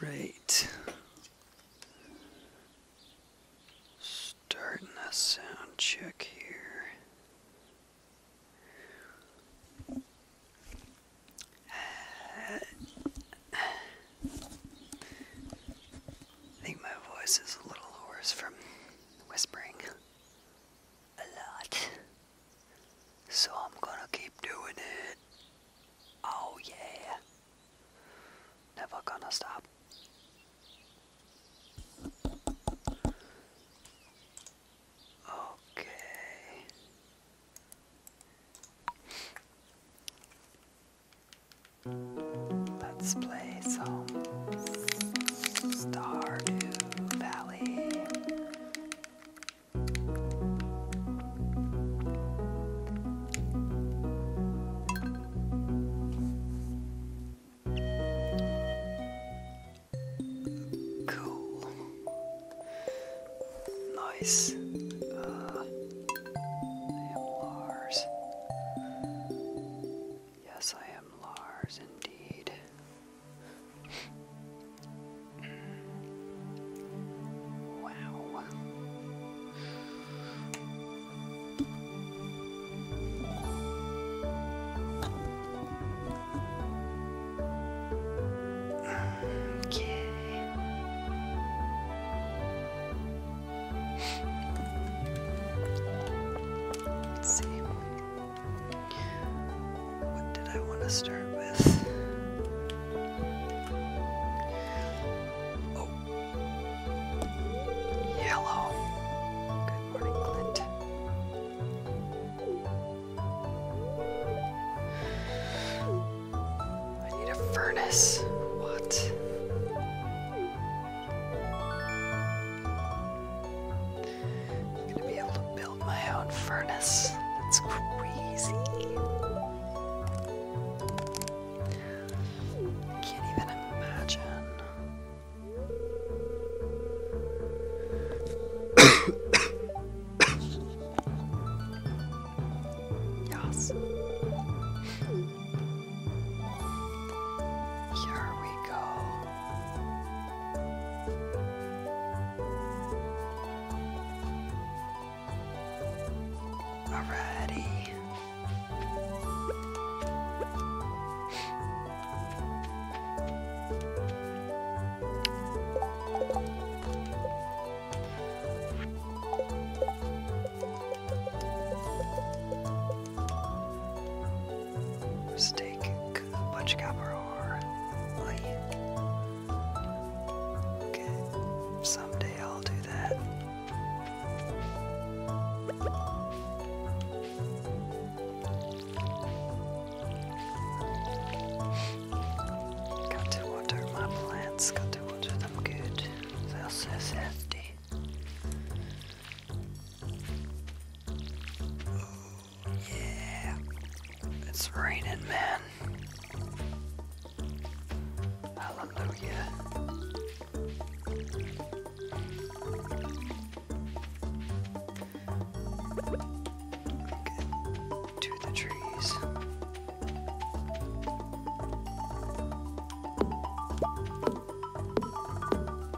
right. Starting a sound check here. I think my voice is a little hoarse from whispering a lot. So I'm gonna keep doing it. Oh yeah. Never gonna stop. Okay. Let's play play some Stardew Valley. Cool. Nice. Uh, Yes, I am Lars indeed. wow. Okay. Let's see. What did I want to start with? Oh, yellow. Good morning, Clint. I need a furnace. What? I'm gonna be able to build my own furnace. That's crazy. can't even imagine. yes. Here we go. Alrighty. Steak Bunch of Cowper or Okay, someday I'll do that. Got to water my plants, got to water them good. They're so thirsty. Yeah. It's raining, man. Hallelujah. Okay. To the trees.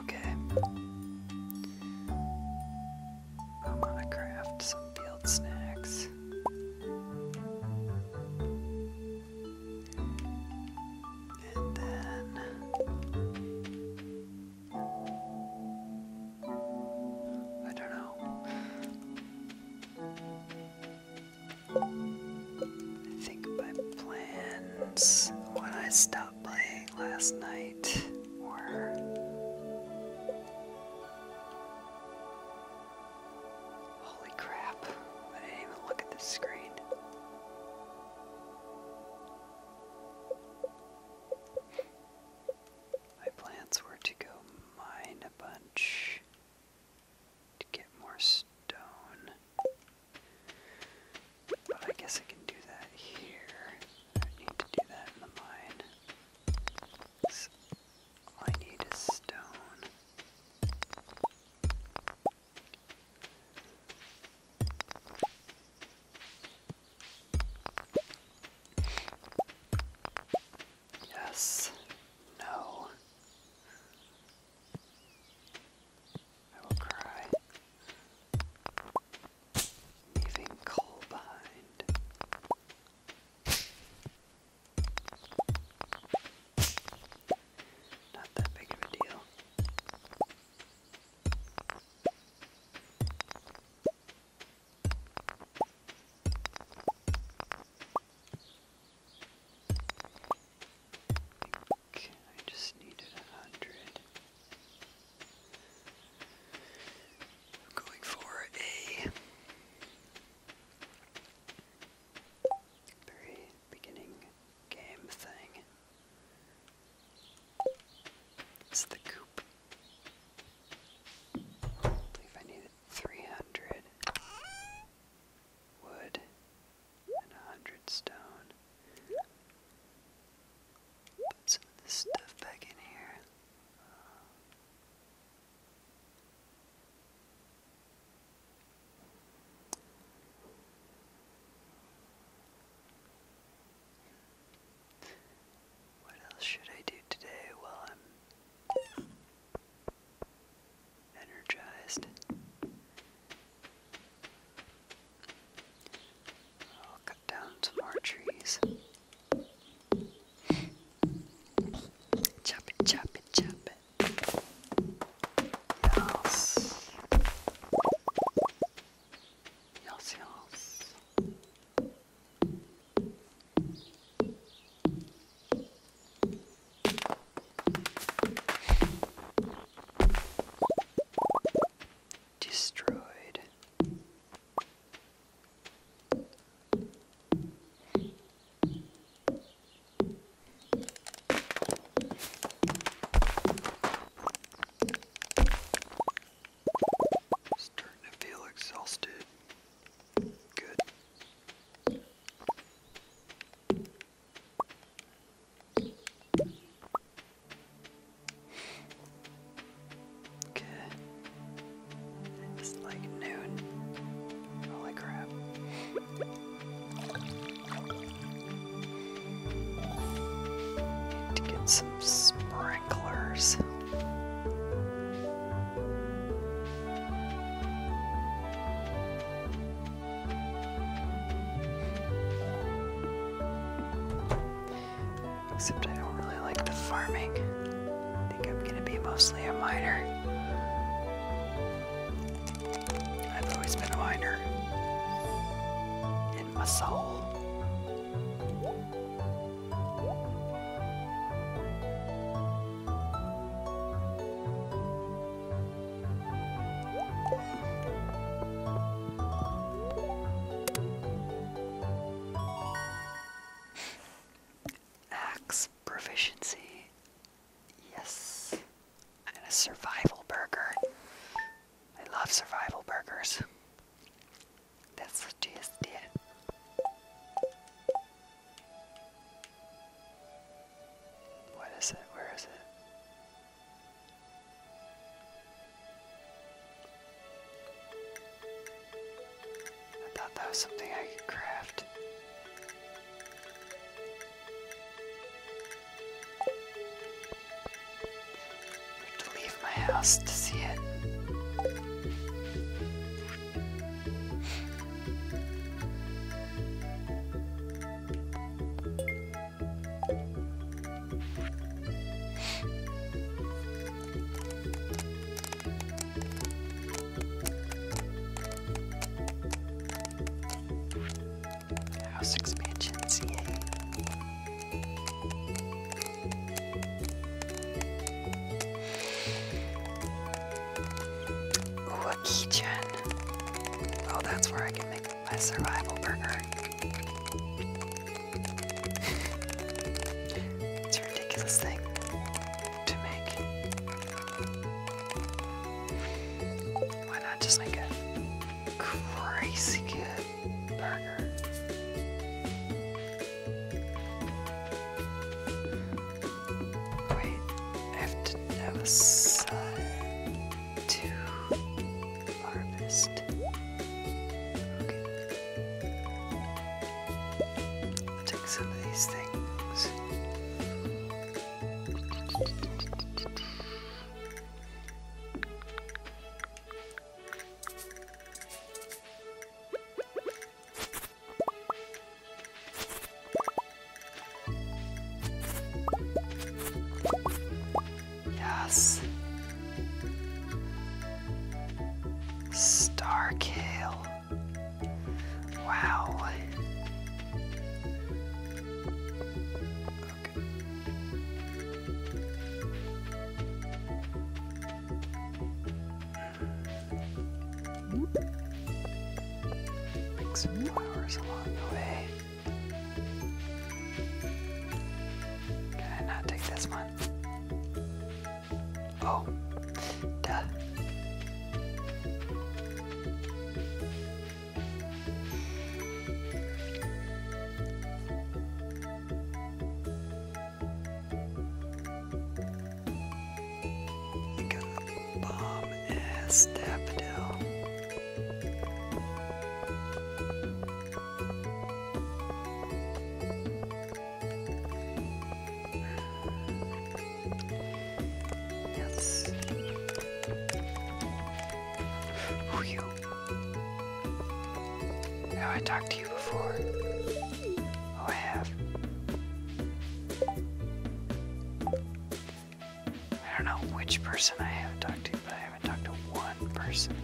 Okay. I want to craft some field snacks. And then I don't know. I think my plans when I stopped playing last night were holy crap, I didn't even look at the screen. My plans were to go mine a bunch to get more stone. But I guess I can do that here. I don't need to do that in the mine. I need is stone. Yes. No. I will cry, leaving coal behind. Not that big of a deal. Okay, I just needed a 100 going for a very beginning game thing. It's the coop. believe I needed 300 wood and a hundred stone. Put some of this stuff back in here. what else should I do today? Well, I'm energized. I'll cut down some more trees. Chop it, chop it, chop it. Yes. Yes, yes. Destroyed. Starting to feel exhausted. Good. Okay. It's like noon. Holy crap. Need to get some sprinklers. Except I don't really like the farming. I think I'm gonna be mostly a miner. I've always been a miner. In my soul. Axe proficiency. Yes. And a survival burger. I love survival burgers. That's what just did. What is it? Where is it? I thought that was something I could craft. to leave my house to see it. House expansions, yay. Ooh, a kitchen! Oh, that's where I can make my survival burger. it's a ridiculous thing to make. Why not just make a crazy good burger? Wait, I have to have a side to harvest. take some of these things. Yes. Star Wow. Okay. Hmm. some flowers along the way. Can I not take this one? Oh, duh. I think bomb ass daffodil. Yes. Who you? Have I talked to you before? Oh, I have. I don't know which person I haven't talked to, but I haven't talked to one person.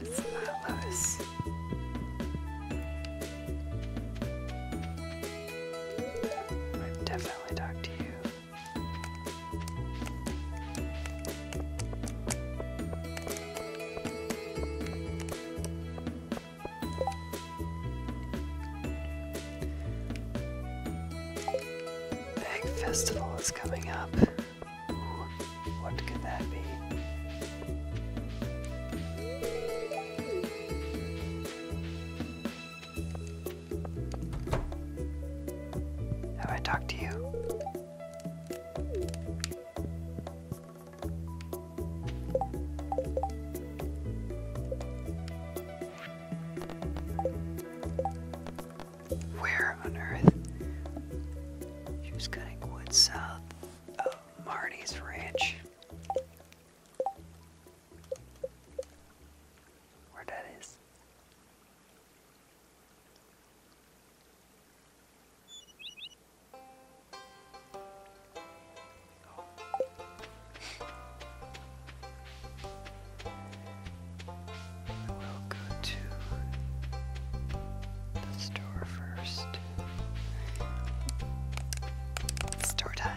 It's not Lois. I've definitely talked to you. Bag Festival is coming up. what could that be? Have I talked to you? Where on earth? She was cutting wood south of Marty's ranch. Where that is. We'll go to the store first. Store time.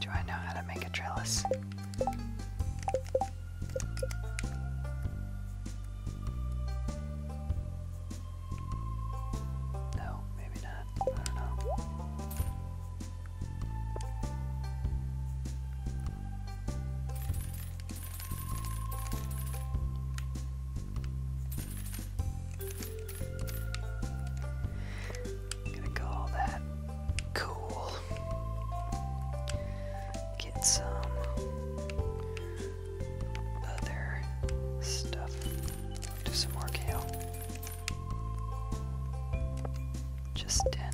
Do I know how to make a trellis? No, maybe not. I don't know. gonna call that cool. Get some other stuff. Do some more kale. Just ten.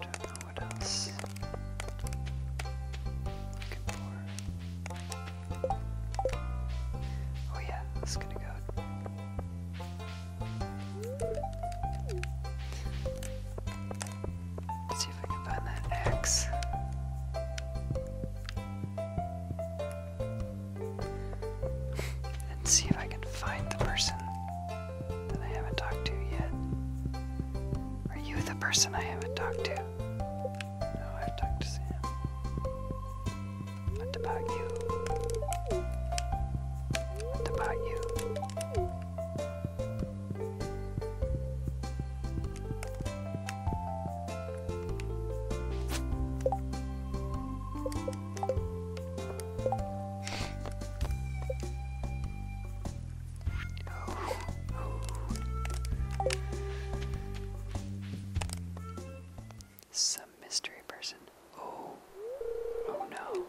Don't know what else Oh yeah, it's gonna go Let's see if I can find that axe. and see if I can find the person that I haven't talked to yet. Are you the person I haven't talked to? No, I've talked to Sam. What about you? What about you? Some mystery person. Oh, oh no.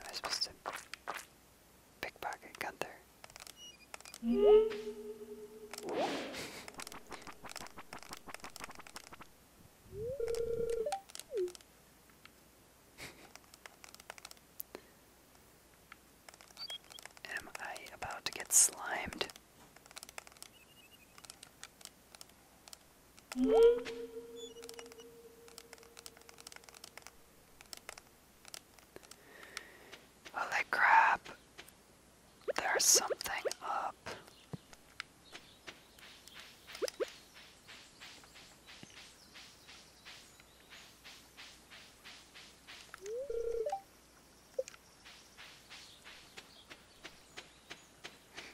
Am I supposed to pickpocket Gunther? Am I about to get slimed? Holy crap, there's something up.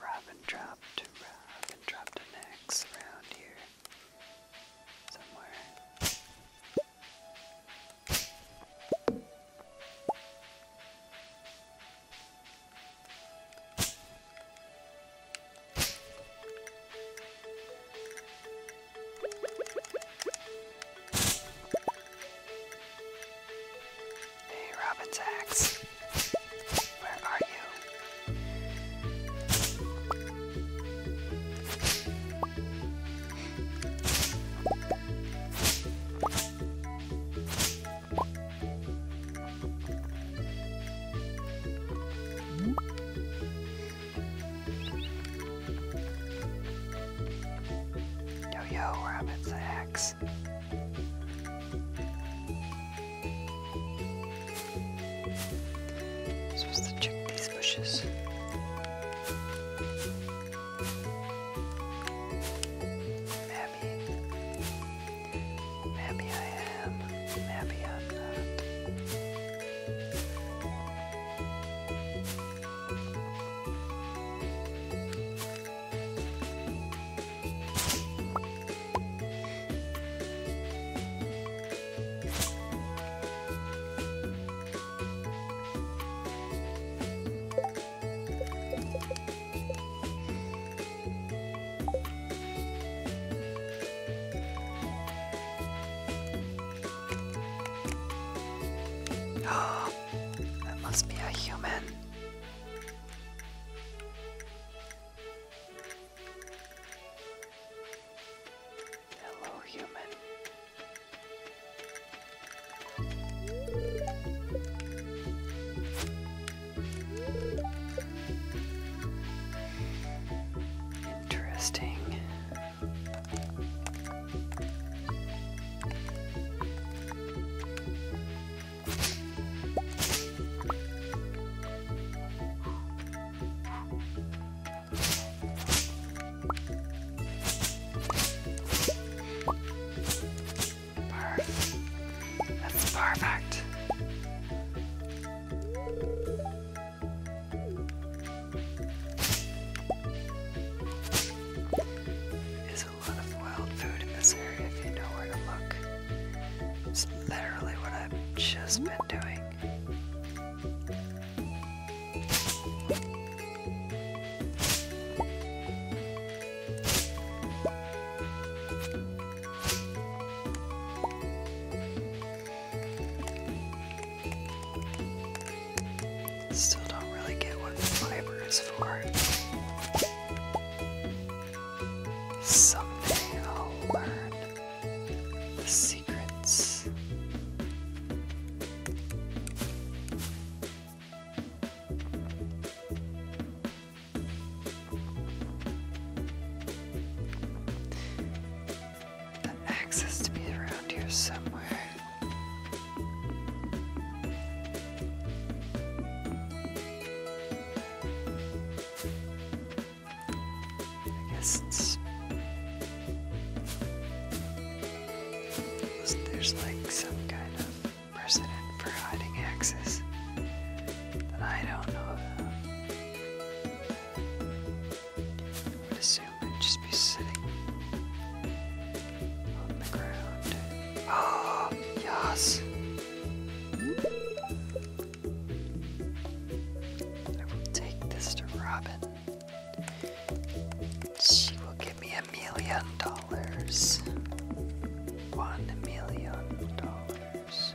Robin drop Robin drop to next round here. Somewhere. Hey, Robin's axe. Where are you? Yo yo, rabbits, axe. I'm supposed to check these bushes. Maybe. Maybe I am. Maybe I'm not. Oh, that must be a human. Hello, human. Interesting. Perfect. That's perfect. There's a lot of wild food in this area if you know where to look. It's literally what I've just been doing. Still don't really get what fiber is for. Someday I'll learn the secrets. The axe to be around here somewhere. I guess There's like some kind of precedent for hiding axes that I don't know assume it'd just be sitting on the ground. Oh, yes! I will take this to Robin. She will give me a million dollars. One million dollars.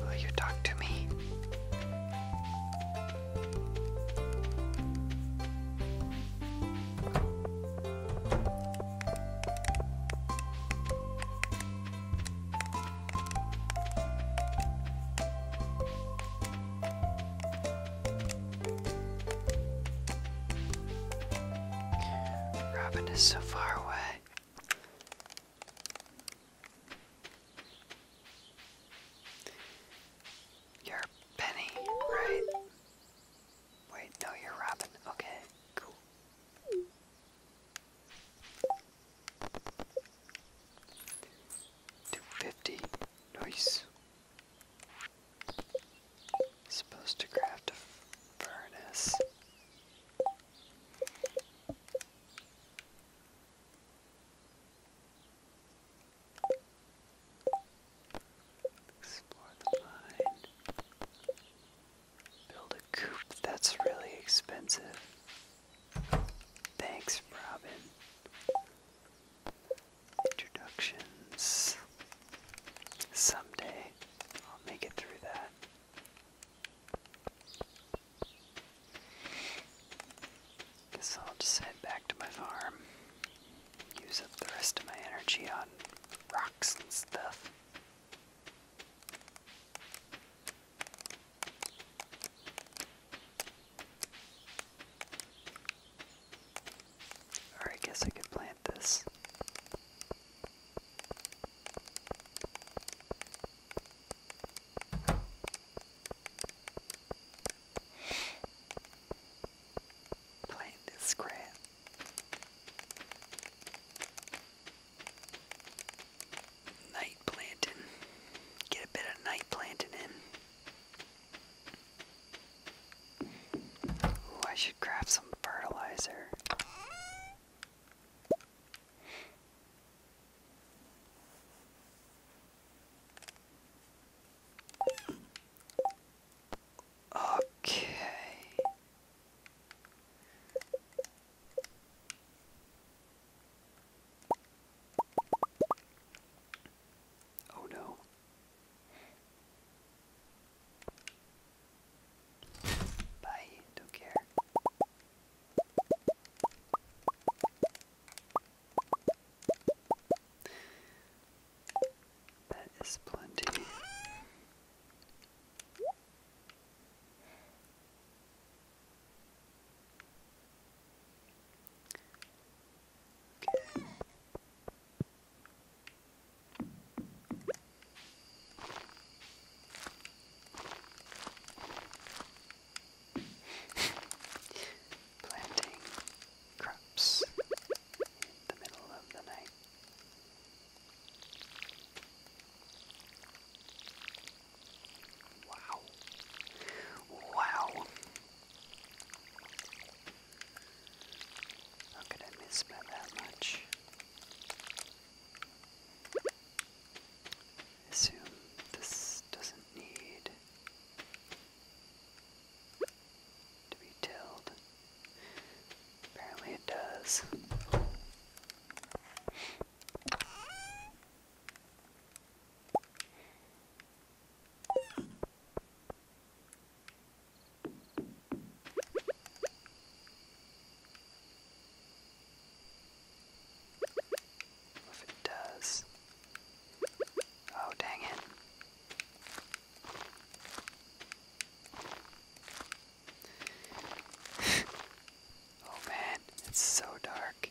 Will you talk to me? Robin is so far away. You're Penny, right? Wait, no, you're Robin. Okay, cool. 250. Nice. Supposed to craft a furnace. Explore the mine. Build a coop. That's really expensive. Thanks, Robin. Introductions. Someday I'll make it through that. Guess I'll just head back to my farm. Use up the rest of my energy on rocks and stuff. Or I guess I could plant this. Plant this crap. Night planting. Get a bit of night planting in. I should grab some fertilizer. Okay. Oh no. Bye, don't care. That is plenty. Okay. Planting crops in the middle of the night. Wow. Wow. How could I miss by that much? assume this doesn't need to be tilled. Apparently it does. If it does. Oh, dang it. oh man, it's so dark.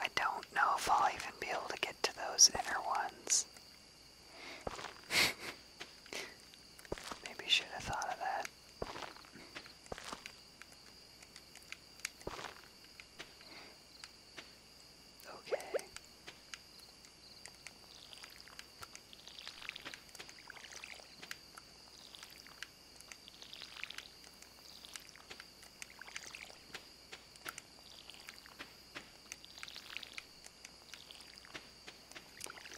I don't know if I'll even be able to get to those inner ones. Maybe should have thought of that. Okay.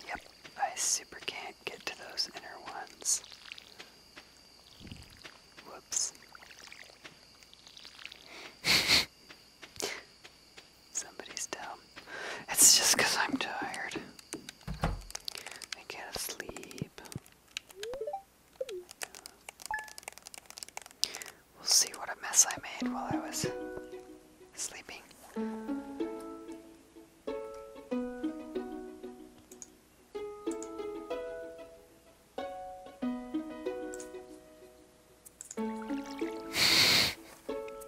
Yep, I super can't get to those inner ones. Whoops. Somebody's dumb. It's just because I'm tired. I can't sleep. We'll see what a mess I made while I was sleeping.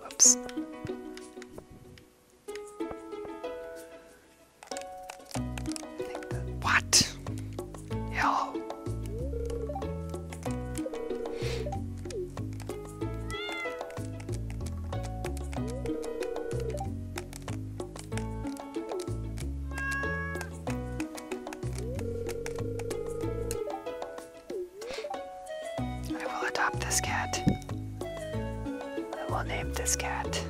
Oops. what? Hell. I will adopt this cat. I will name this cat.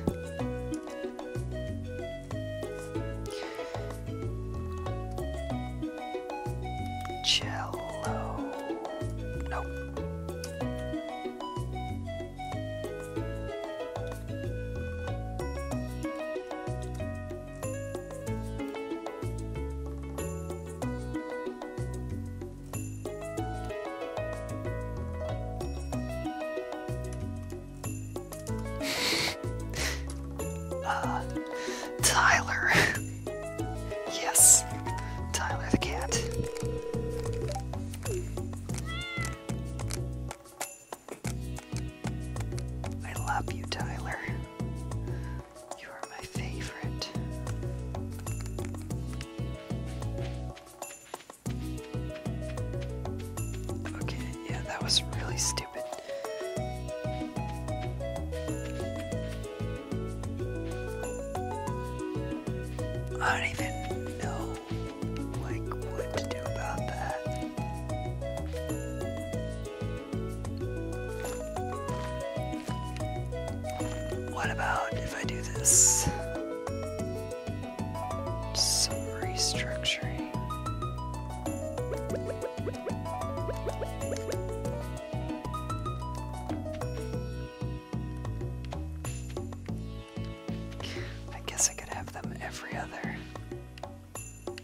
Cello. Nope. Tyler. yes, Tyler the cat. I love you, Tyler. You are my favorite. Okay, yeah, that was really stupid. I don't even know like what to do about that. What about if I do this? some restructuring. I guess I could have them every other.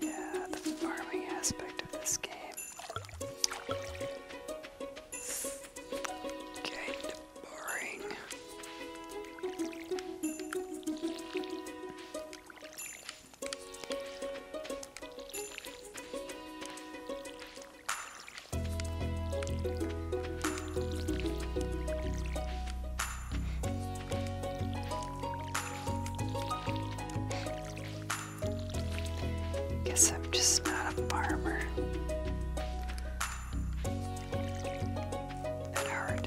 Yeah, the farming aspect of this game. Kinda boring. Guess I'm just not a farmer. At heart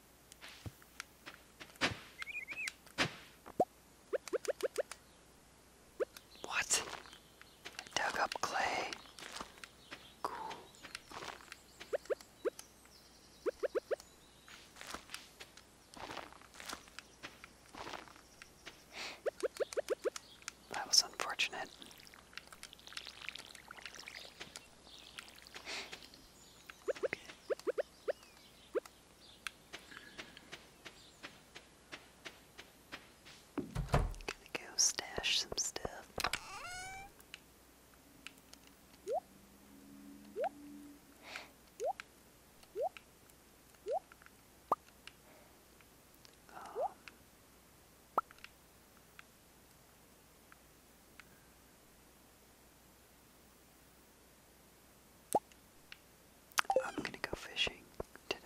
What? I dug up clay. Cool. That was unfortunate. Okay. Gonna go stash some stuff. Um, I'm gonna go fishing today.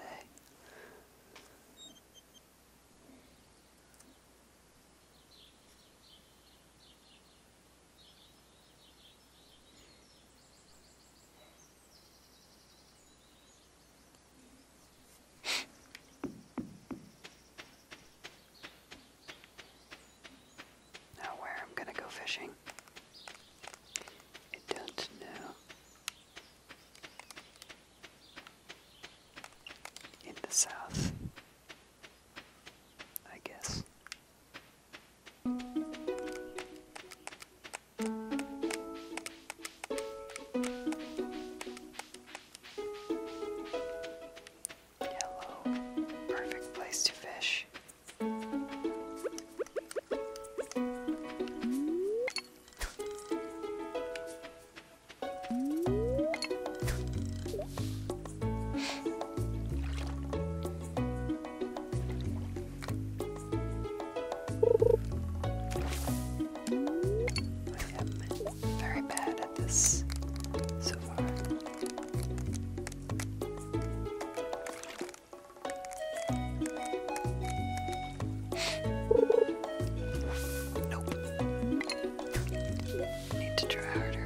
Now where I'm gonna go fishing, I don't know. In the south, I guess. Yellow. Perfect place to fish. I am very bad this so far. Nope. Need to try harder.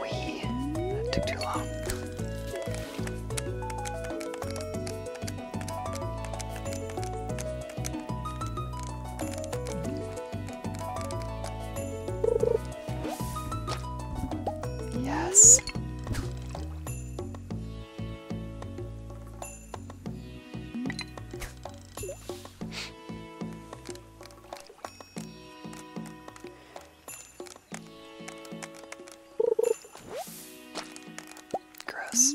Whee. took too long. Yes. Gross.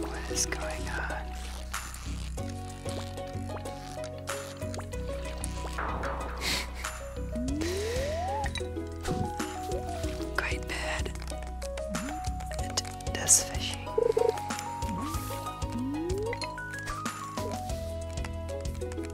What is going on? Quite bad at this fishing.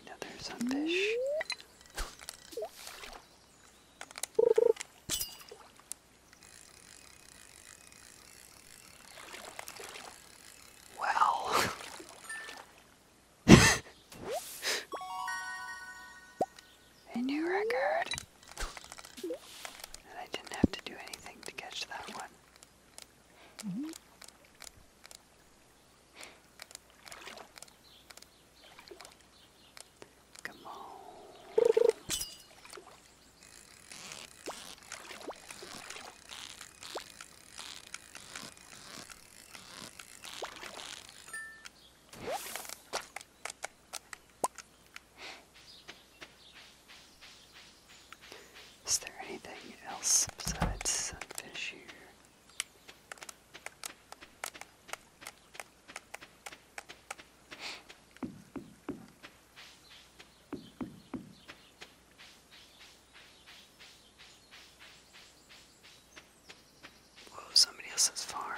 Another sunfish. Well, a new record. and I didn't have to do anything to catch that one. Come on. Is there anything else besides fish here? Whoa, somebody else's farm.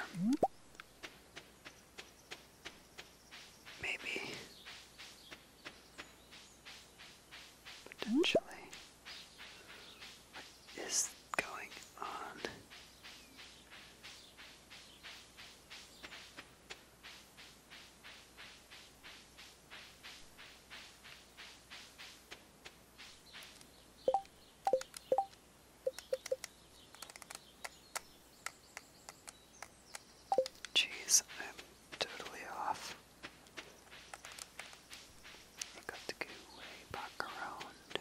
Maybe. Potentially. What is going on? Jeez, I'm totally off. I got to go way back around.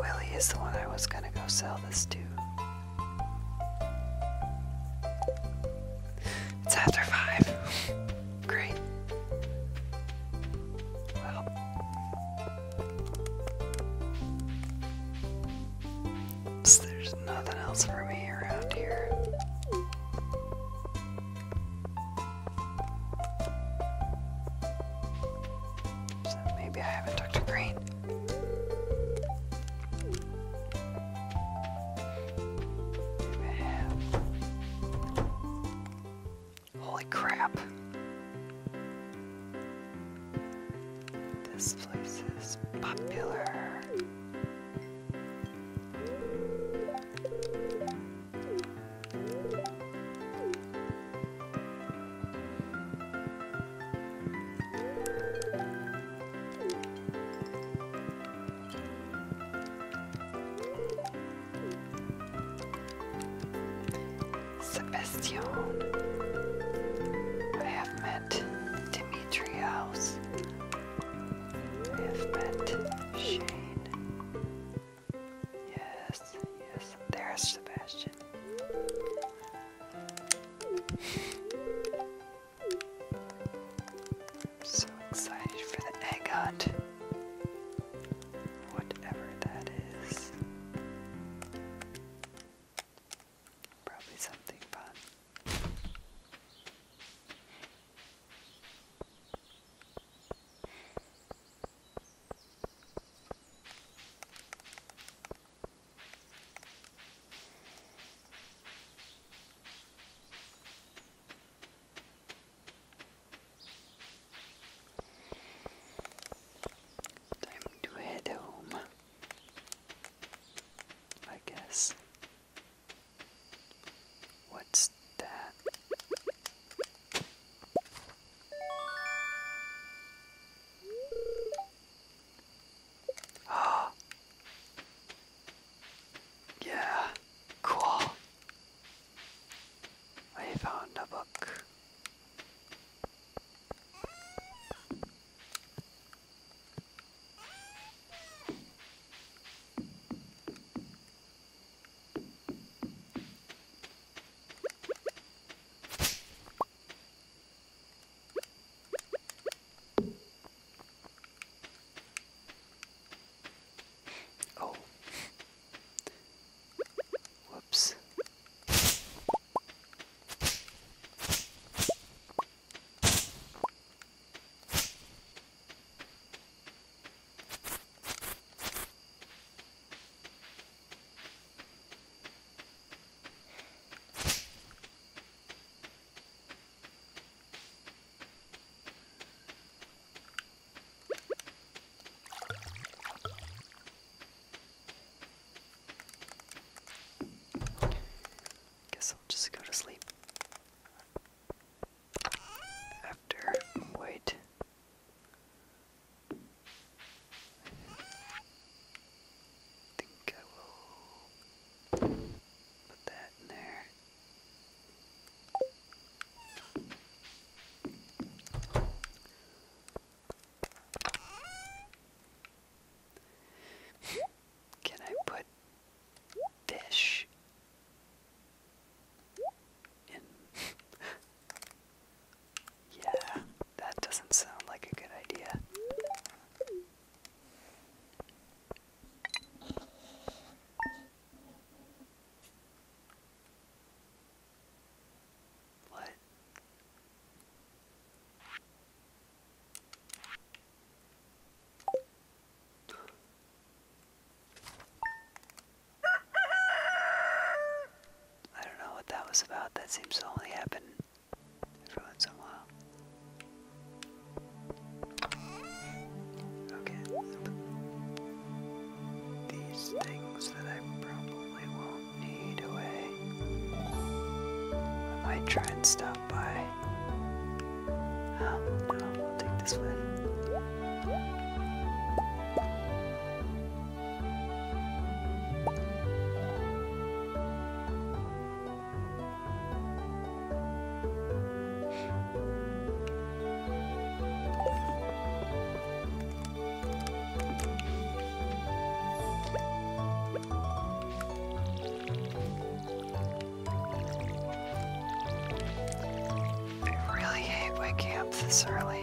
Willie is the one I was going to go sell this to. It's after five. Great. Well, there's nothing else for me around here maybe I haven't talked Green. Holy crap. This place is popular. Sebastian. I have met Dimitrios. I have met Shane. Yes, yes, there's Sebastian. so excited for the egg hunt. Whatever that is. Probably something fun. Time to head home, I guess. What's that? Oh. Yeah, cool. I found a book. Oh. Whoops. Guess I'll just go to sleep. After white I think I will put that in there. Can I put fish in? Yeah, that doesn't sound like a good idea. What? I don't know what that was about. That seems to only happen every once in a while. Okay. These things that I probably won't need away. I might try and stop by. Um, no, I'll take this one. I really hate waking up this early.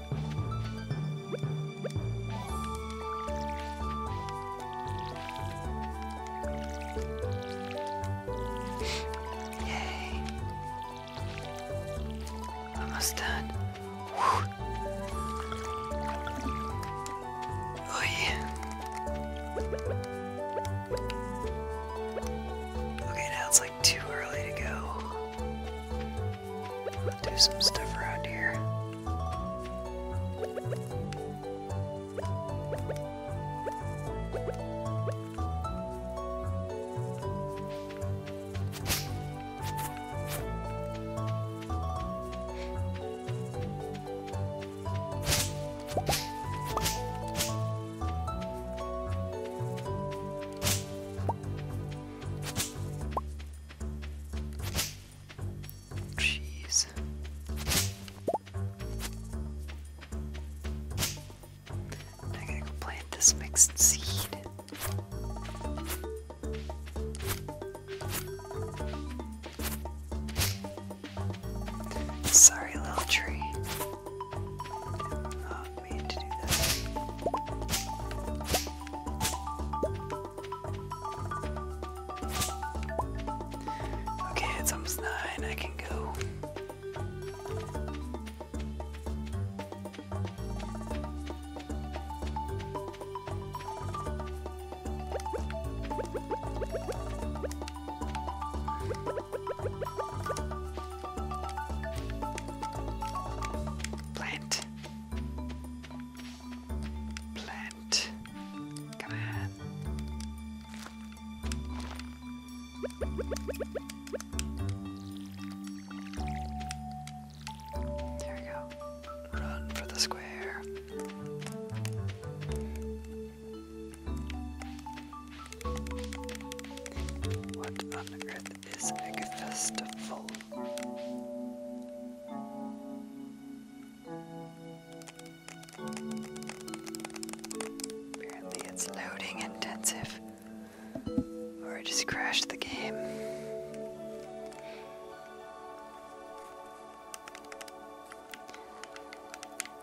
Yay. Almost done. Whew. Oh Okay, now it's like too early to go do some stuff around here. Jeez. I gotta go plant this mixed seed. Sorry, little tree. Not mean to do that. Okay, it's almost nine. I can go. Plant. Plant. Come on. There we go. Run for the square. What on earth is Agfesta full Apparently, it's loading intensive, or it just crashed the game.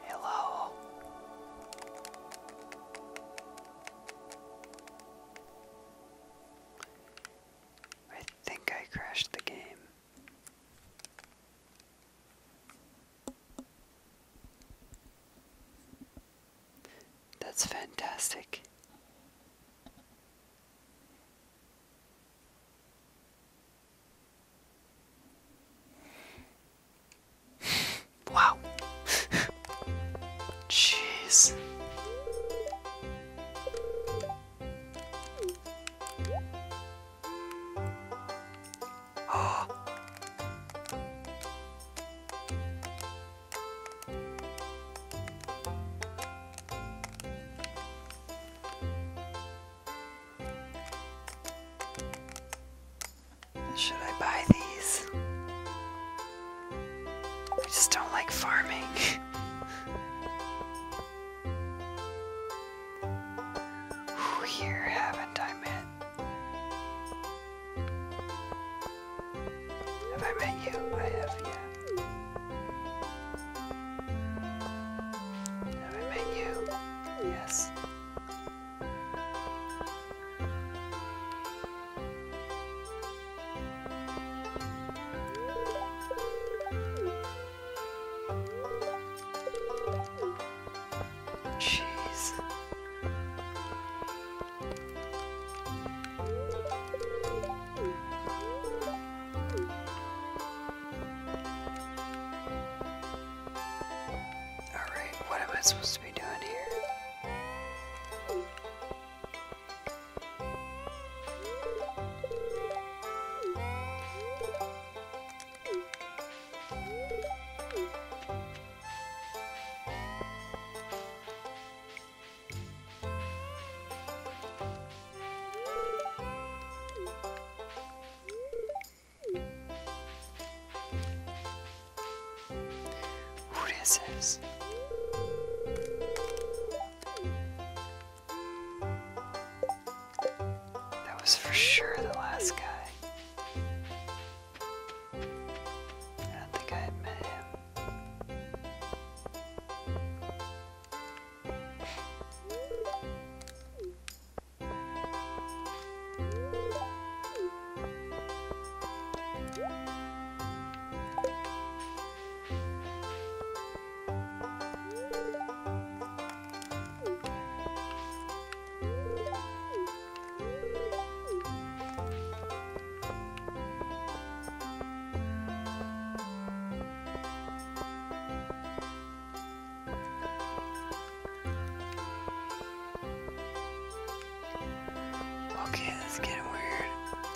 Hello. I think I crashed the game. That's fantastic. wow. Jeez. Should I buy these? I just don't like farming. Here, haven't I met? Have I met you? I have, yeah. Have I met you? Yes. Jeez. All right, what am I supposed to be doing here? Who this that was for sure the last guy. I don't think I had met him. Okay, that's getting weird.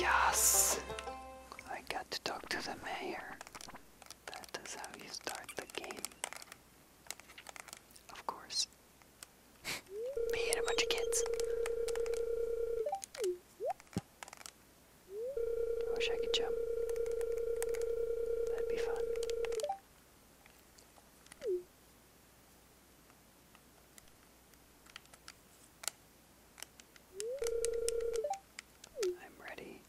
Yes! I got to talk to the mayor. That is how you start the game. Of course. Me and a bunch of kids. I wish I could jump. That'd be fun. I'm ready.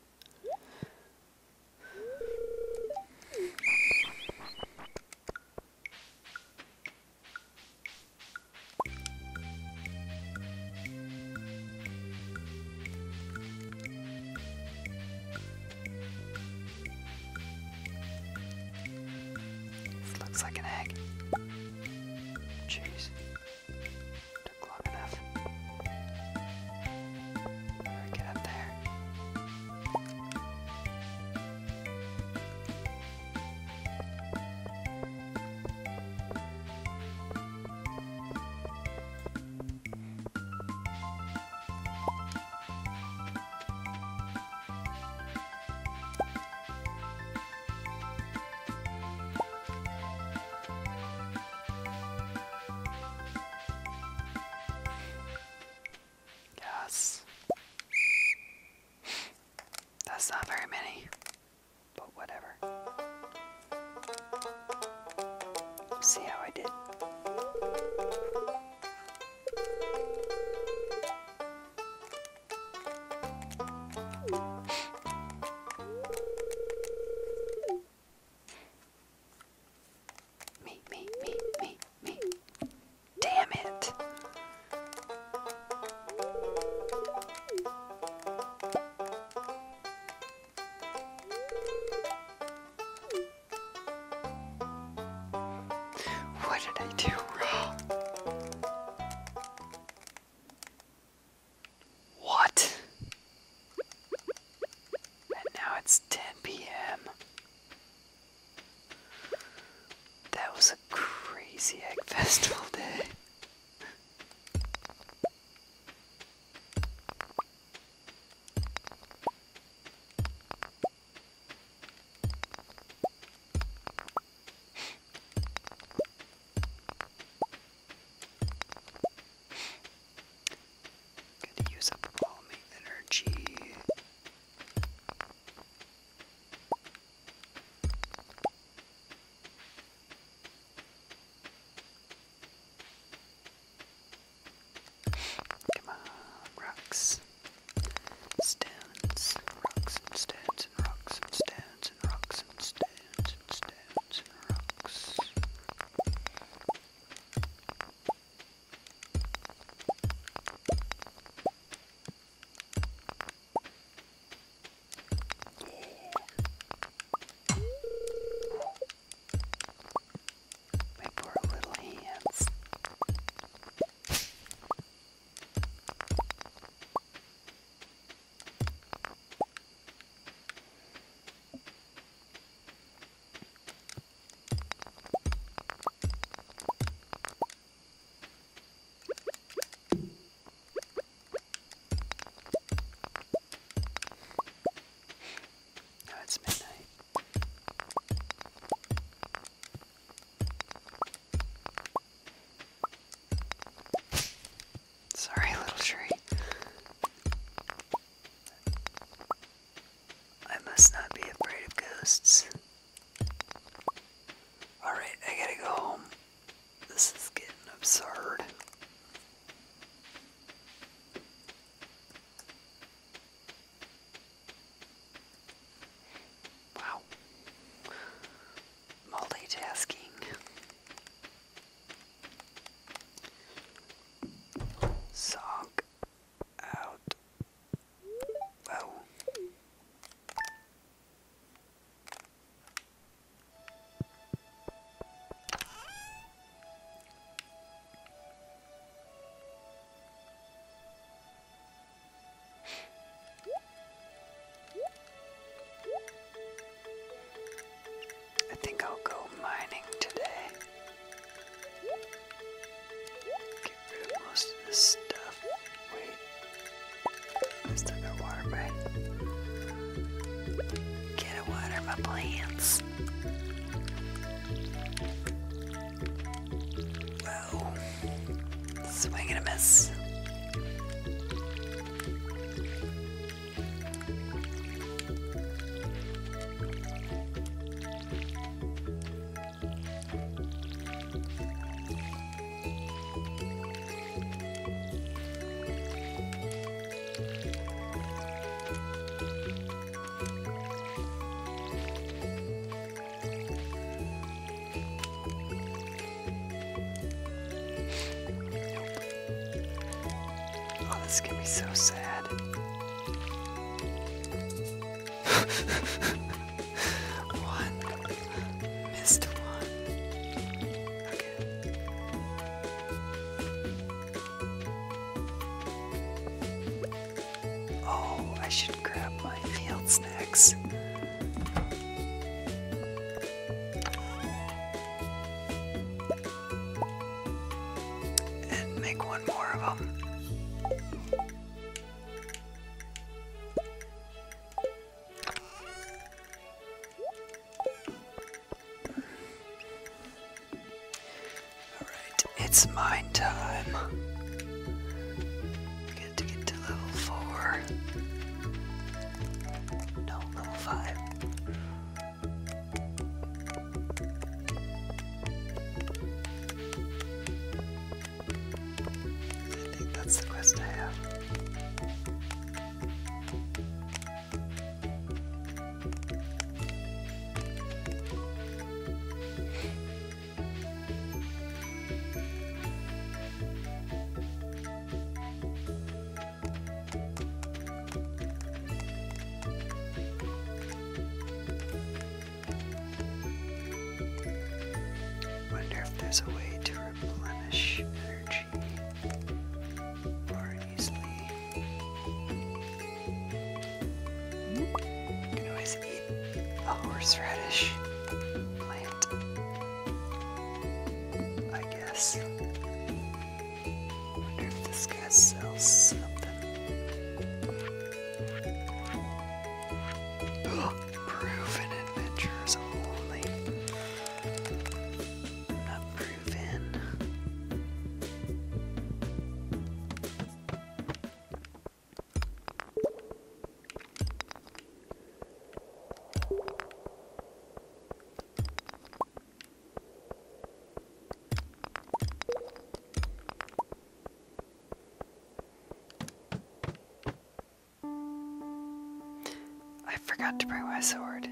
This looks like an egg. Jeez. Took long enough. Right, get up there. Yes. That's not very many but whatever. See how I did. Me, me, me, me, me. Damn it! What did I do wrong? What? And now it's 10 p.m. That was a crazy egg festival day. Gonna use up all my energy. Come on, rocks, stones, rocks and stones and rocks and stones and rocks and stones and stones and rocks. My poor little hands. Now oh, it's midnight. Sorry, little tree. I must not be afraid of ghosts. Alright, I gotta go home. This is getting absurd. Wow. Multitasking. Sock out. Oh. I think I'll go mining today. Get rid of most of this stuff. Wait. I still got water by. Get a water my plants. Whoa. Swing a miss. Oh, this can be so sad. One missed one. Oh, I should grab my field snacks. And make one more of them. Alright, it's mine time. I to get to level 4. No, level 5. I think that's the quest I have. Wonder if there's a way to replenish energy easily. can always eat a horseradish plant, I guess. wonder if this guy sells something. Proven adventures only. I forgot to bring my sword.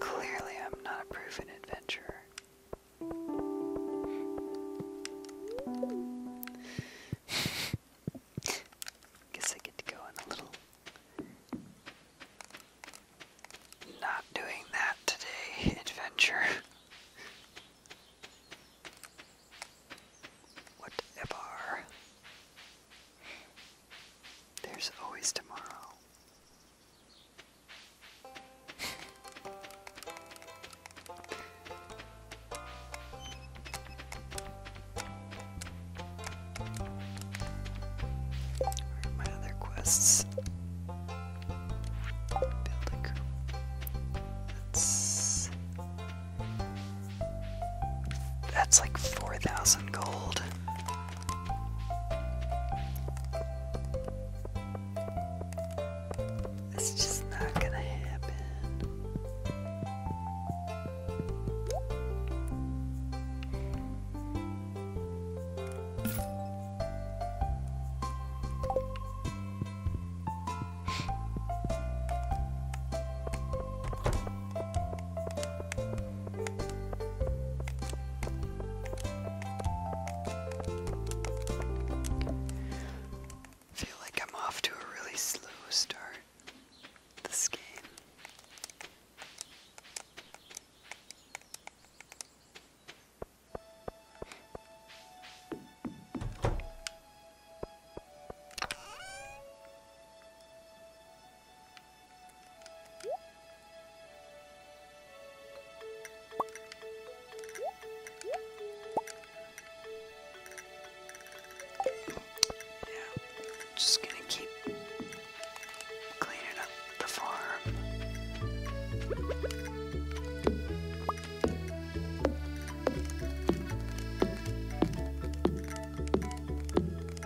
Clearly, I'm not a proven adventurer. Guess I get to go in a little. Not doing that today, adventure. Whatever. There's always tomorrow. my other quests? Build a crew. Let's that's like 4,000 gold. It's just not gonna happen feel like I'm off to a really slow start this game just gonna keep cleaning up the farm.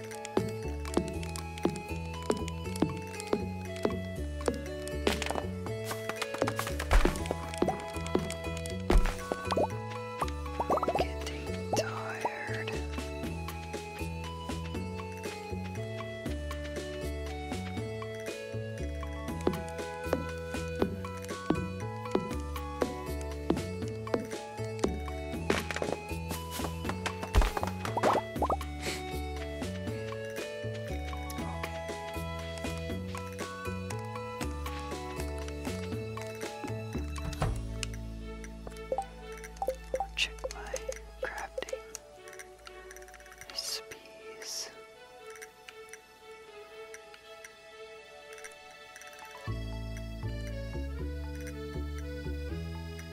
Getting tired. Check my crafting recipes.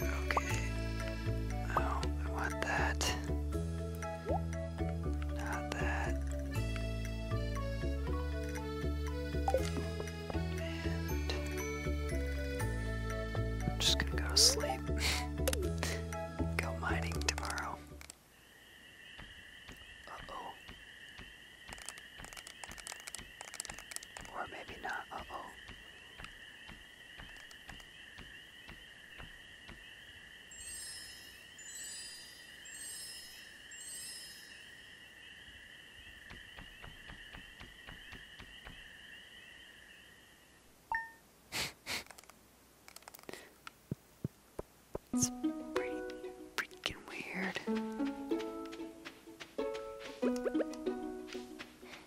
Okay. Oh, I want that. Not that. am just gonna go to sleep. go mining tomorrow. Uh-oh. Or maybe not. Uh-oh. It's pretty freaking weird.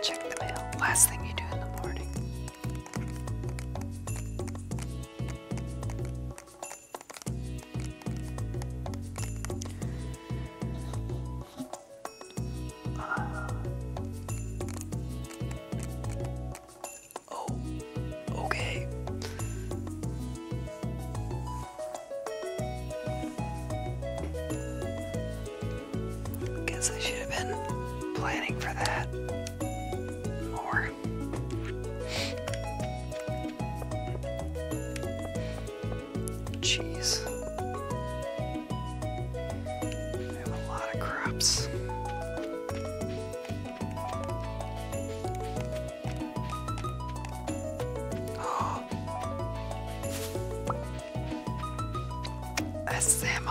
Check the mail. Last thing you do in the morning. Uh, oh, okay. Guess I should have been planning for that more more. Jeez. I have a lot of crops. Oh. Salmon.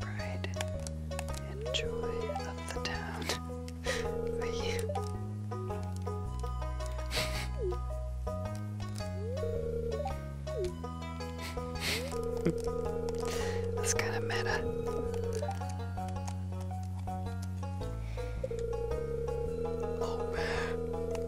Pride and of the town for That's kind of meta. Oh man.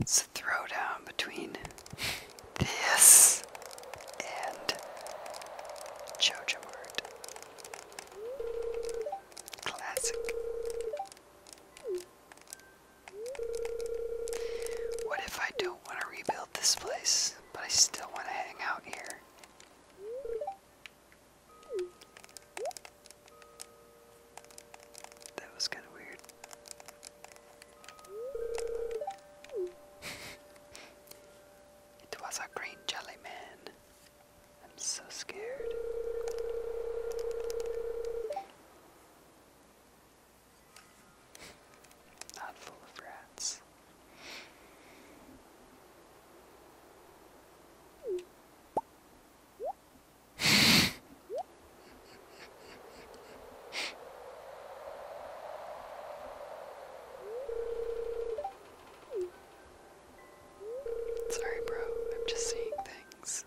It's a throwdown between this and JoJo Art. Classic. What if I don't want to rebuild this place, but I still want to hang out here? That was kind of weird. it was a green jelly man. I'm so scared. Not full of rats. Sorry, bro, I'm just seeing things.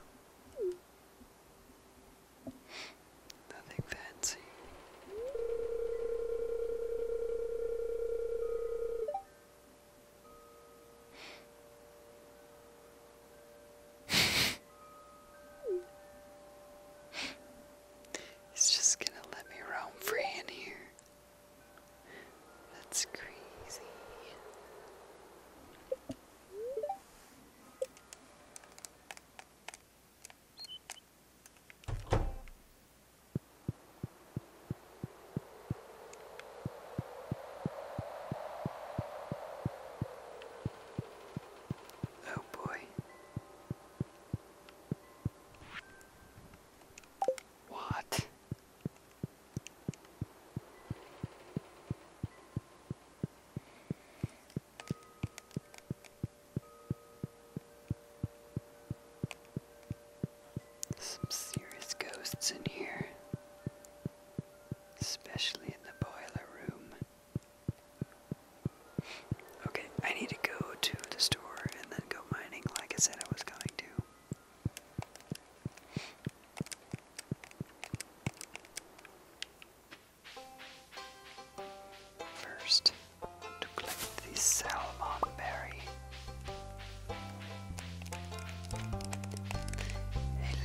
Nothing fancy. He's just gonna let me roam free in here. That's crazy. Oh, boy. What? Some serious ghosts in here, especially in the boiler room. Okay, I need to go to the store and then go mining like I said I was going to. First, to collect the salmon I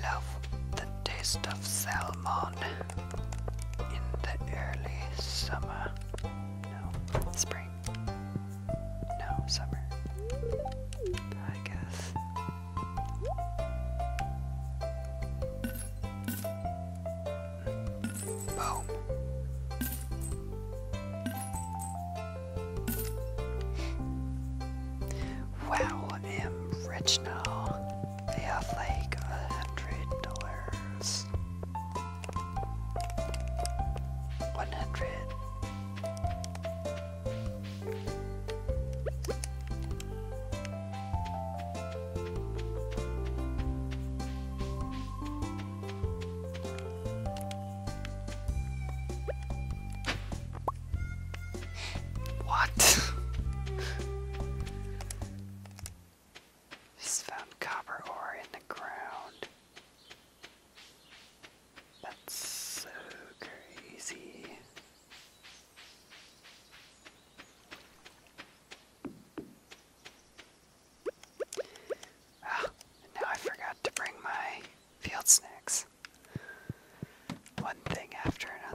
love the taste of salmon in the early summer. No, spring. No, summer. I guess. Boom. Wow, I am rich now. They have like a hundred dollars. One hundred. What? He's found copper ore in the ground. That's so crazy. Ah, now I forgot to bring my field snacks. One thing after another.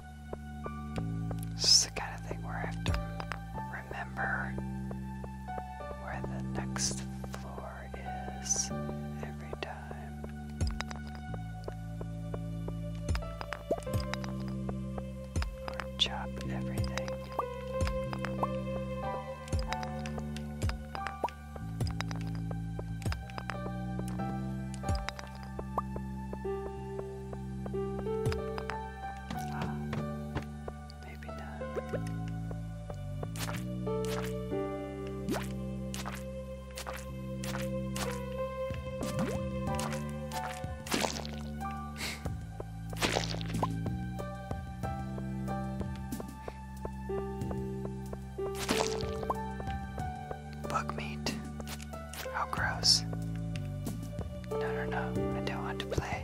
This is the kind of thing where I have to remember where the next floor is every time. Or chop everything. Bug meat. How gross. No, no, no. I don't want to play.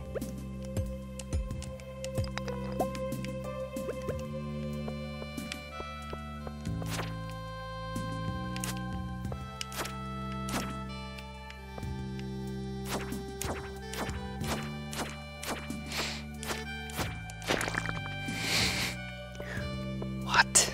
What?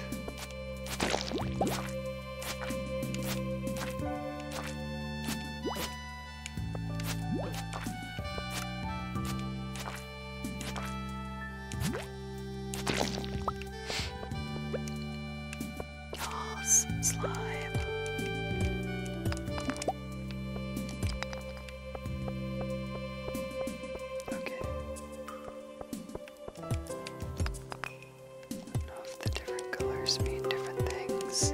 Yes, slime. Okay know if the different colors mean different things.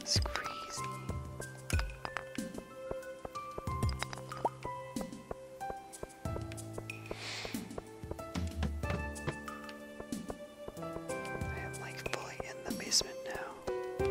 It's crazy. I am like fully in the basement now.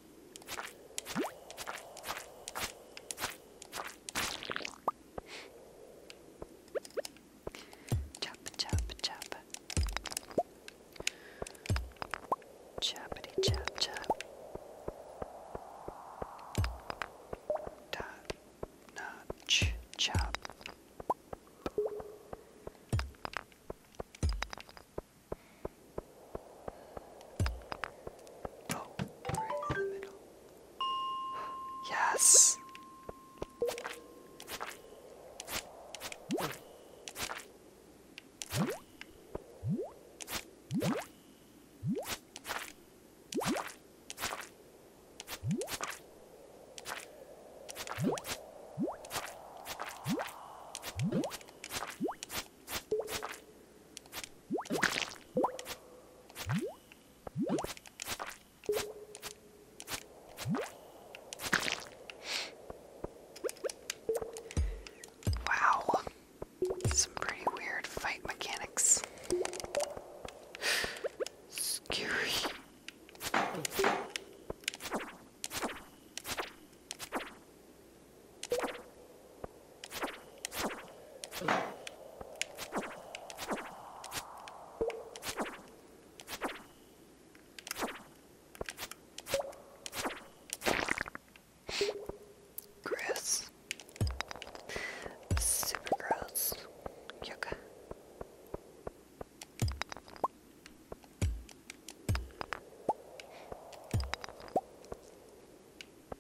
Chop, chop, chop. Choppity, chop, chop. Dot, notch, chop. Oh, right in the middle. Yes. Wow, some pretty weird fight mechanics. Scary. Gross. Super gross. Yucca.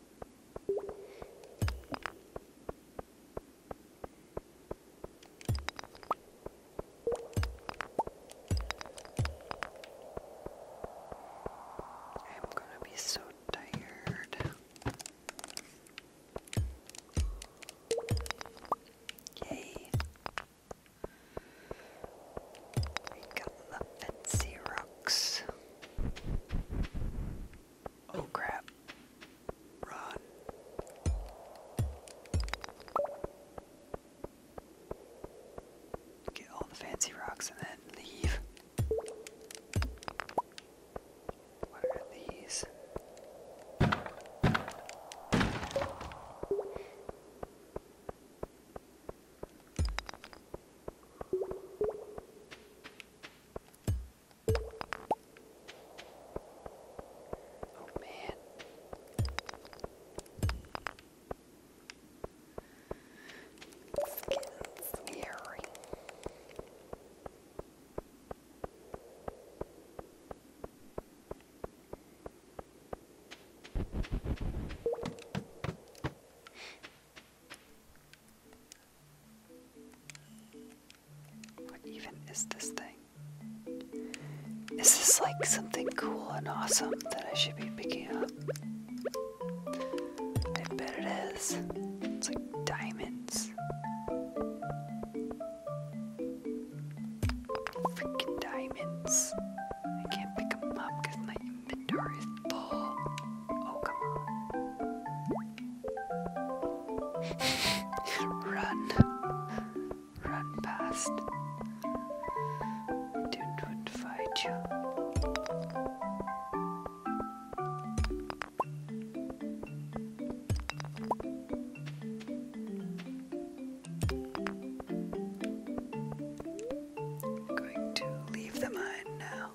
I'm gonna be so tired. Yay. We got the fancy rocks. Oh crap. Run. Get all the fancy rocks and then leave. What are these? Oh man. It's getting scary. What even is this thing? Is this like something cool and awesome that I should be picking up? I bet it is. It's like diamonds. Freaking diamonds. I can't pick them up because my inventory is full. Oh, come on. Run. Run past. Dude would fight you. I'm going to leave the mine now.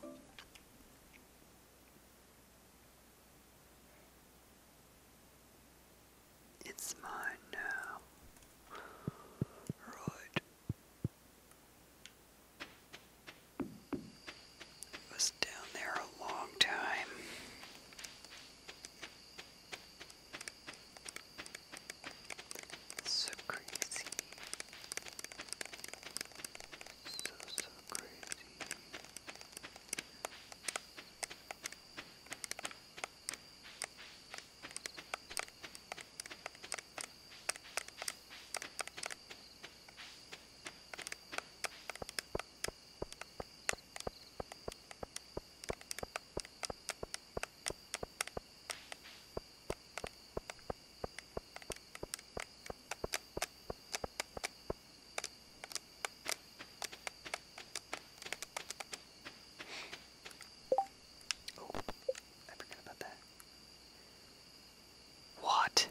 It's mine now. Right. It was down there a long time. So crazy. so crazy. All Oh, I forgot about that. What?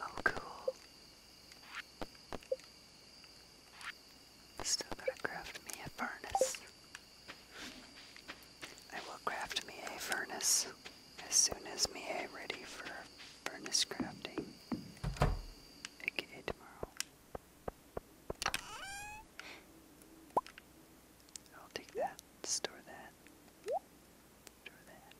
Oh, cool. Still gotta craft me a furnace. I will craft me a furnace as soon as me a ready for furnace crafting. AKA tomorrow. I'll take that. Store that. Store that.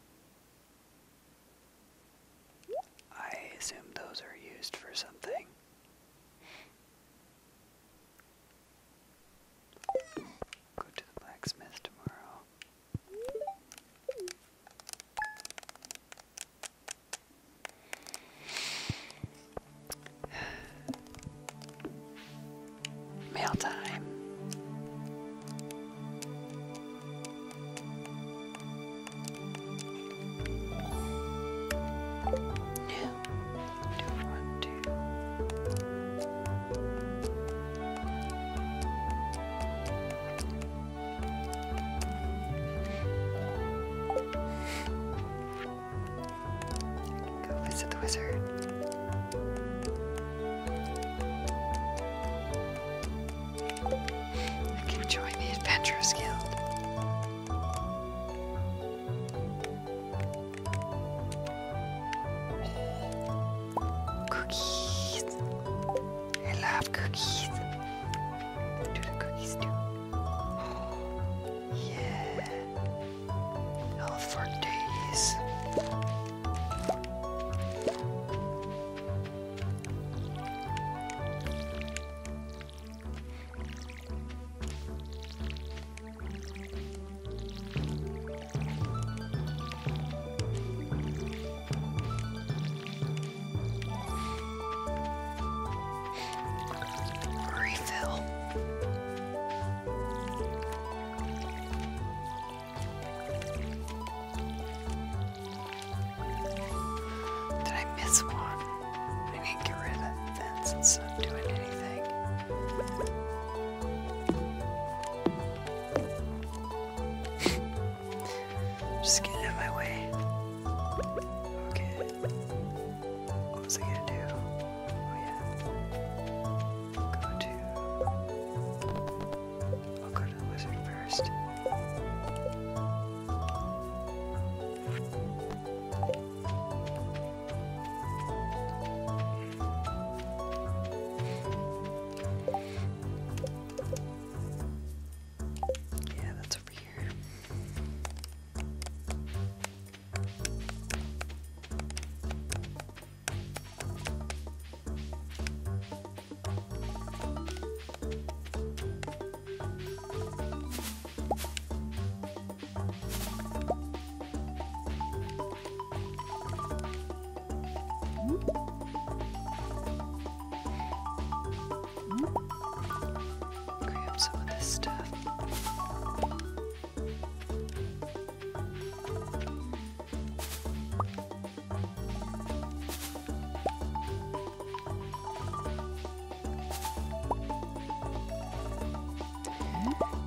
I assume those are used for something. Go to the blacksmith tomorrow. Mail time do one, two. Go visit the wizard. I can join the Adventurers Guild. Cookies. I love cookies. Do the cookies too. Yeah. All for days. Refill. Did I miss one? I need to get rid of that fence, it's not doing anything. Just get out my way. Okay. What was I gonna do? Oh yeah. Go to I'll go to the wizard first. Yeah, that's over here. Grab some of this stuff.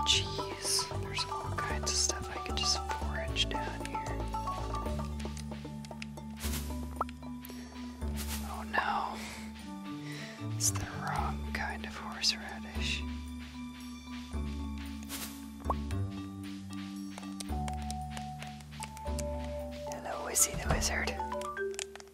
Jeez, there's all kinds of stuff I could just forage down here. Oh no, it's the wrong kind of horseradish. Hello, Izzy the Wizard.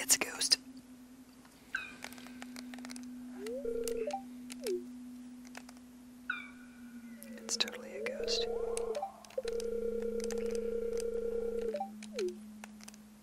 It's a ghost. It's totally a ghost.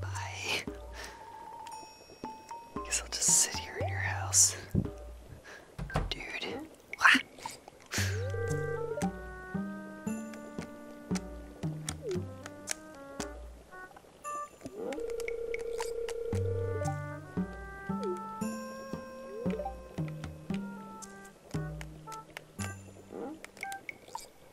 Bye. Guess I'll just sit here in your house. Dude. Ah.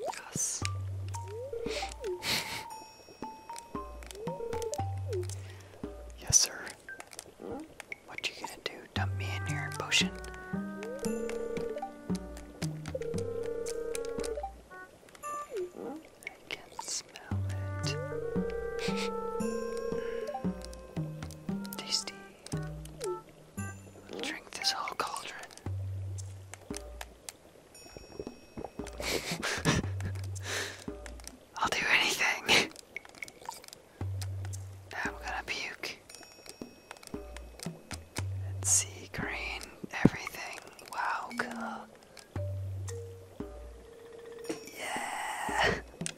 Yes. yes, sir. What you gonna do? Dump me in your potion? I can smell it. Tasty. Drink this whole cauldron. I'll do anything. I'm gonna puke. let green, everything. Wow, cool. Yeah.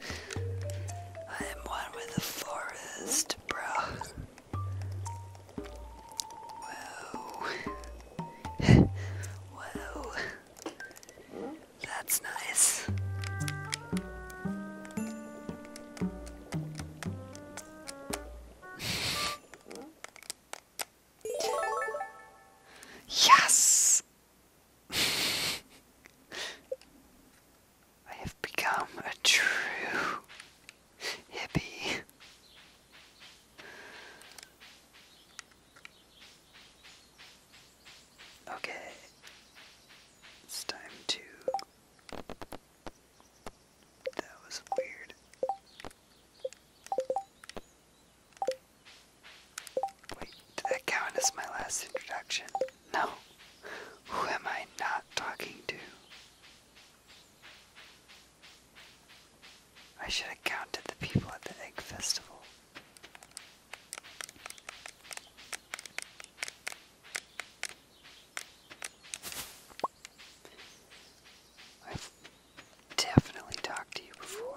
I am one with the forest, bro. Whoa. Whoa. That's nice. yes! I have become a true Hippie. Okay. It's time to. That was weird. Wait, did that count as my last introduction? No. Who am I not talking to? I should have counted the people at the egg festival. I've definitely talked to you before.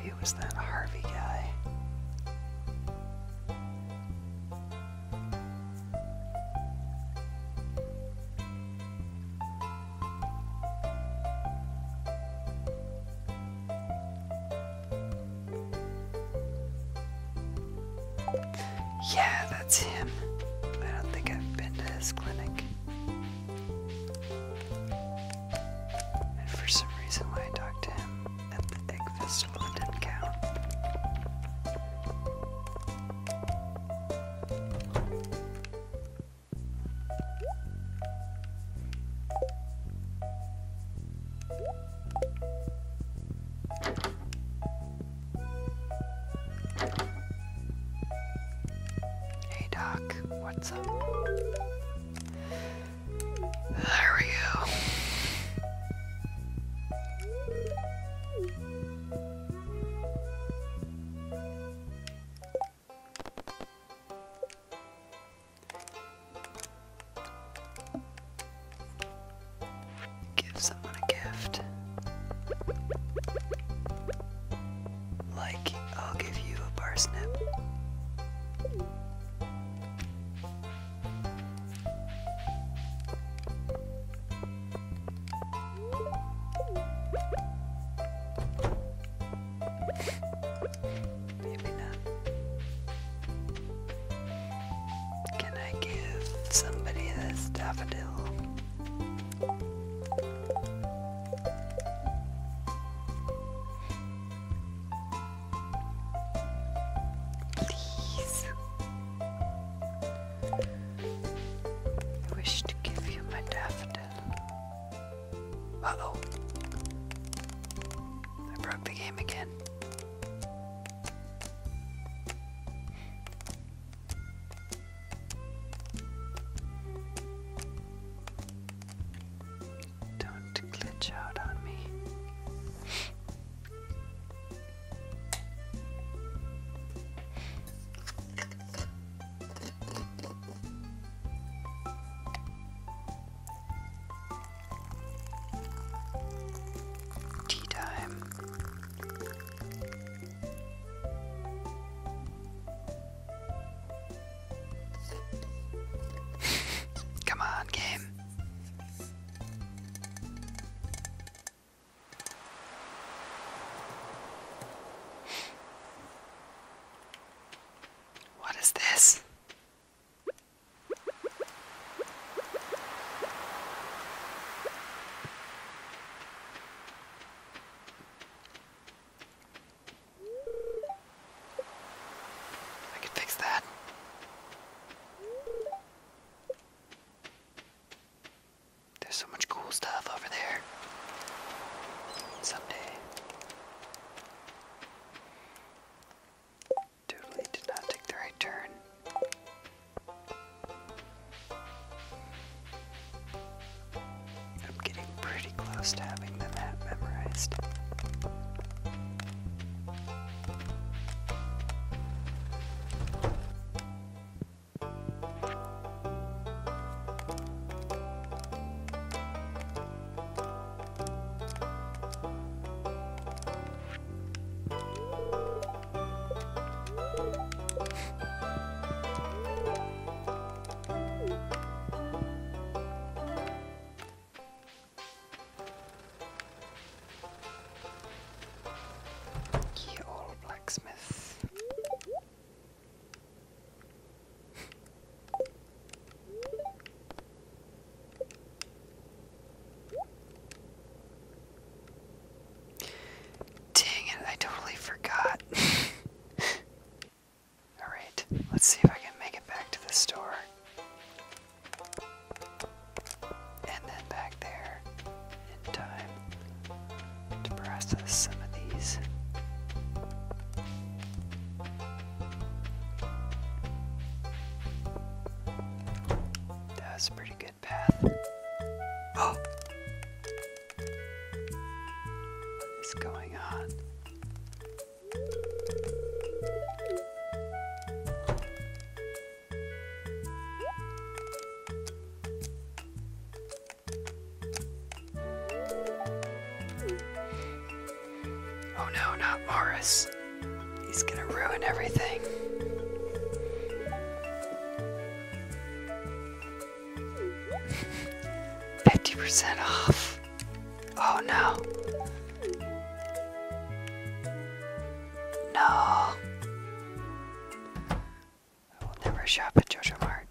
Maybe it was that Harvey guy. Yeah, that's him. I don't think I've been to his clinic. for some reason, when I talked to him at the Egg Festival, it didn't count. Hey Doc, what's up? How are you? Give someone a gift. Like, I'll give you a parsnip. Maybe not. Can I give somebody this daffodil? Please. I wish to give you my daffodil. Uh I broke the game again. Don't glitch out on me. Tea time. Come on, game. What is this? I could fix that. There's so much cool stuff over there. Someday. Totally did not take the right turn. I'm getting pretty close to having the map memorized. Keyhole blacksmith. Dang it, I totally forgot. Alright, let's see if I can make it back to the store. And then back there in time to process some of these. That pretty good path. What is going on? Oh no, not Morris. He's gonna ruin everything. Fifty percent off. Oh no. No. I will never shop at Jojo Mart.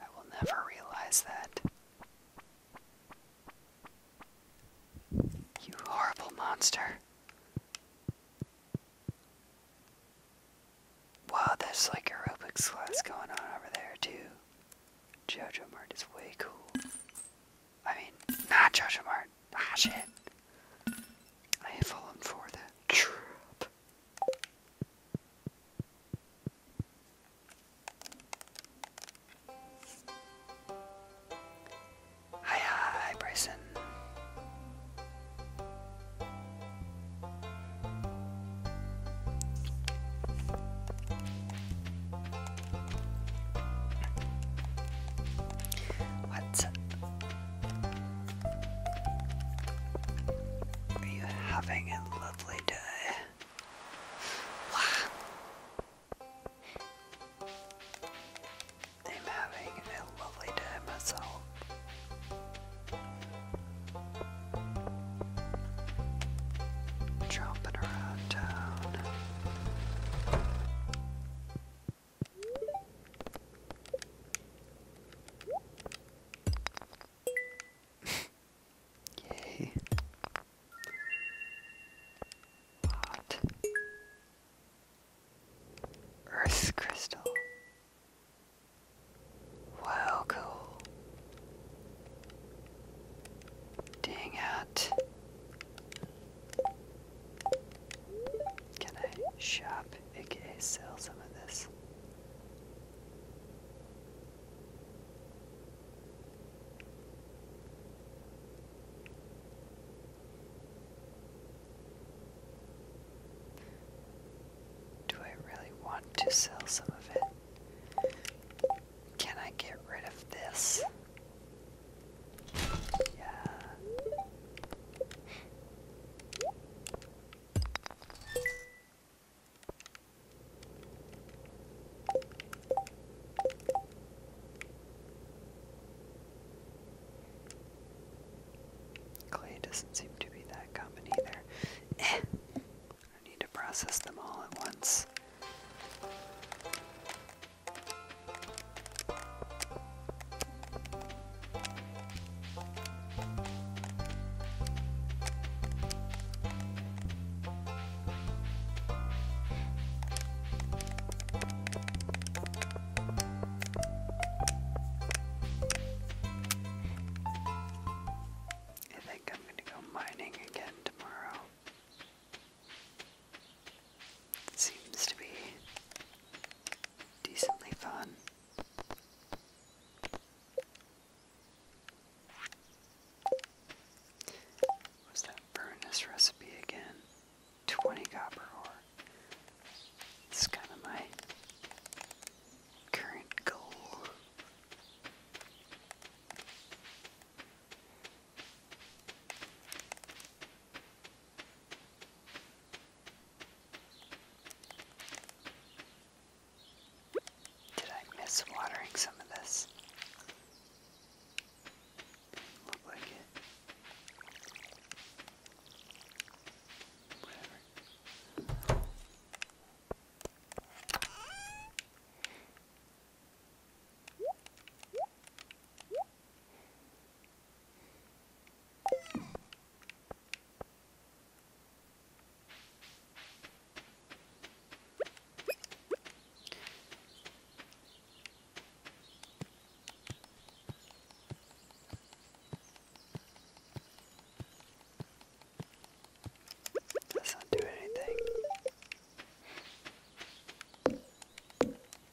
I will never realize that. You horrible monster. Wow, there's like a Rubik's class going on over there, too. Jojo Mart is way cool. I mean, not Joshua Martin. Ah, shit. I have for the trap. Hi, hi, Bryson. What? Are you having a lovely day? I'm having a lovely day myself. Jumping around town. Yay. What? Earth crystal. Wow, cool. Dang it. Can I shop, aka sell some of this? Do I really want to sell some of it? Can I get rid of this? Clay doesn't seem to be that common either. Eh. I need to process them all at once. I think I'm going to go mining again tomorrow. Seems to be decently fun. What's that furnace recipe again? 20 copper ore. This kind of my current goal. Did I miss watering some of this? look like it. Doesn't do anything.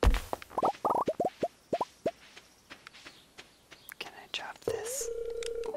Can I drop this? Ooh.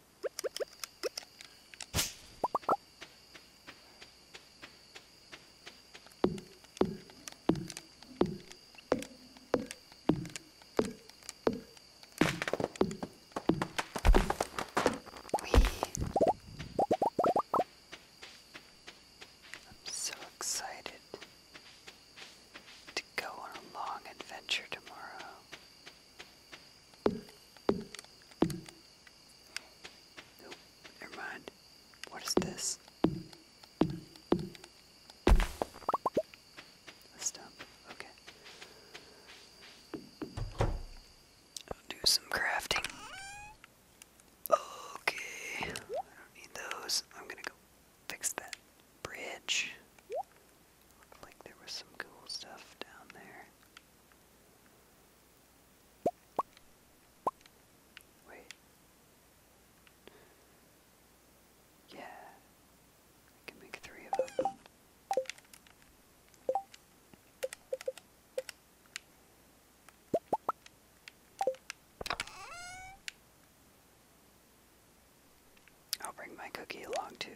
I'm so excited to go on a long adventure tomorrow. Nope, never mind. What is this? A stump, okay. do some crafting. Okay, I don't need those. I'm gonna go fix that bridge. Looked like there was some cool stuff down there. Wait. Yeah. can make three of them. I'll bring my cookie along too.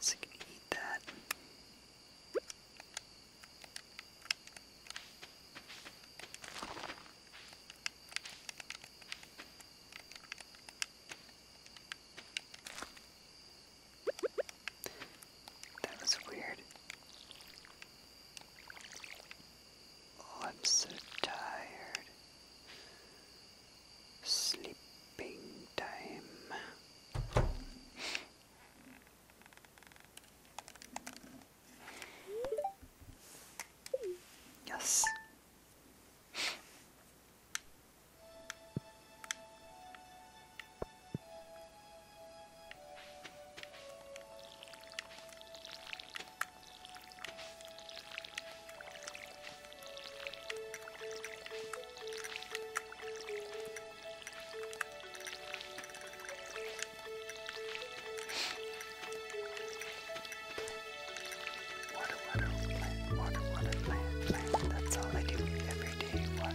So you can eat that. That was weird. Oh, I'm so tired. Sleeping time. yes. Water, water, plant, water, water, plant, plant. That's all I do every day.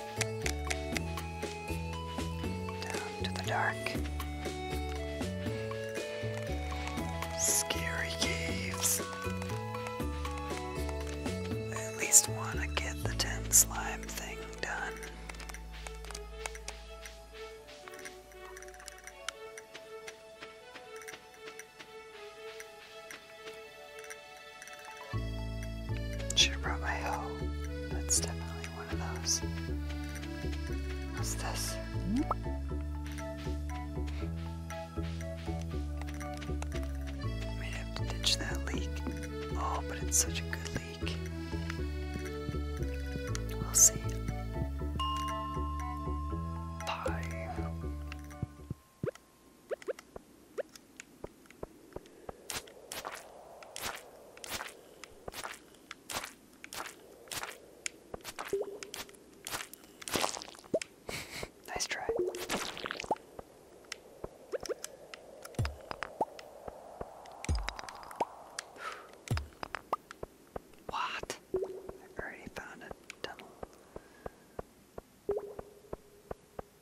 Down to the dark. Scary caves. at least want to get the tin slime thing done. Should have brought my hoe. That's definitely one of those. What's this? I might have to ditch that leak. Oh, but it's such a good leak. We'll see. Bye nice try. What? I already found a tunnel.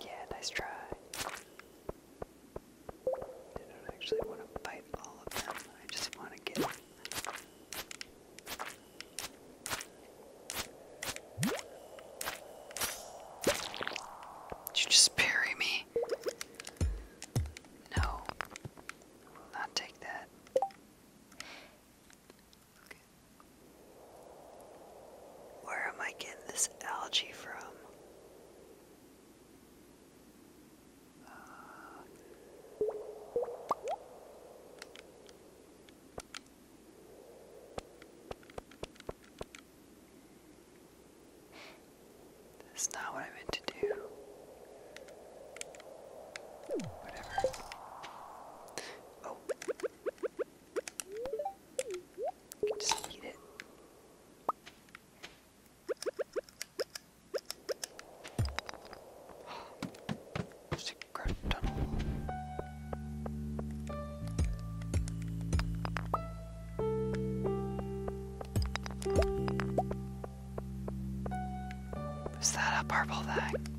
Yeah, nice try. I don't actually want to fight all of them. I just want to get did you just bury me? No. will not take that. Where am I getting this algae from? That's not what I meant to do. Whatever. Oh. Just eat it. Secret tunnel. Is that a purple thing?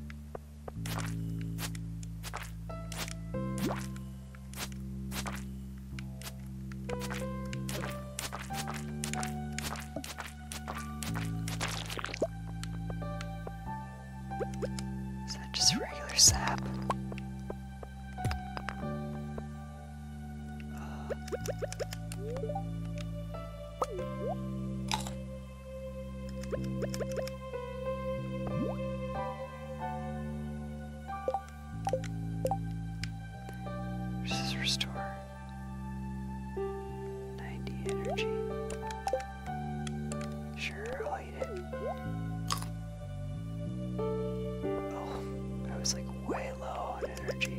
Is that just regular sap? Uh. Just restore. 90 energy. Sure, I'll eat it. Oh, I was like way low on energy.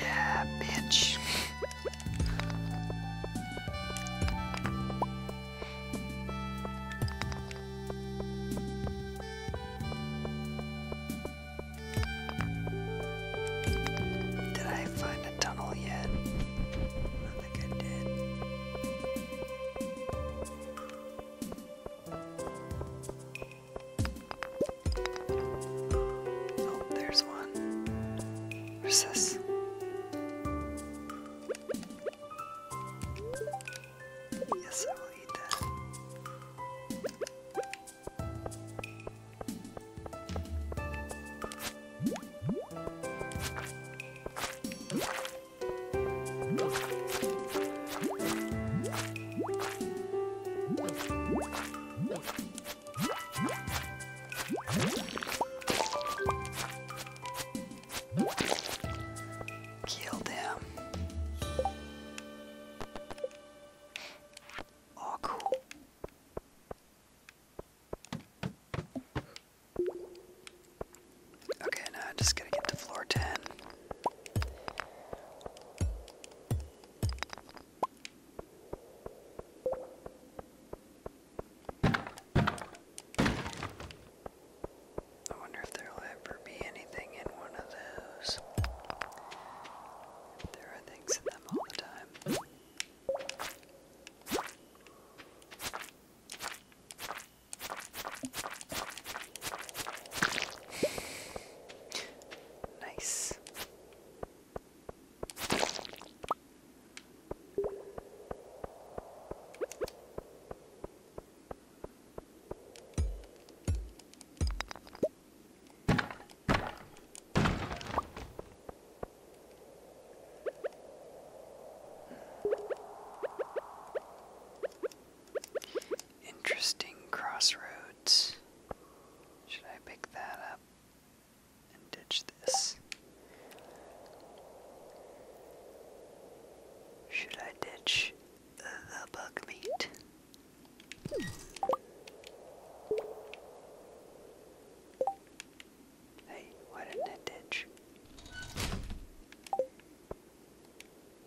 yeah, bitch. Did I find a tunnel yet? I think I did. Oh, there's one. Where's this? Yes, I will eat that. Kill them. Oh, cool. Okay, now i just gonna get to floor 10. I wonder if there'll ever be anything in one of those. There are things in them all the time. Nice. Interesting crossroad. Should I pick that up and ditch this? Should I ditch the bug meat? Hey, why didn't I ditch?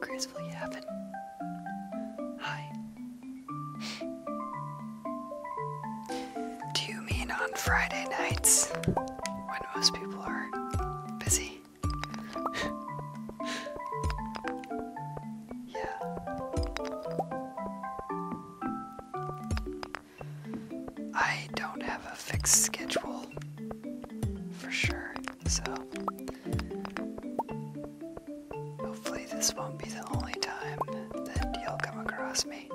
Gracefully happen. Hi, Do you mean on Friday nights when most people are busy? yeah. I don't have a fixed schedule for sure, so Hopefully, this won't be the only time that you'll come across me.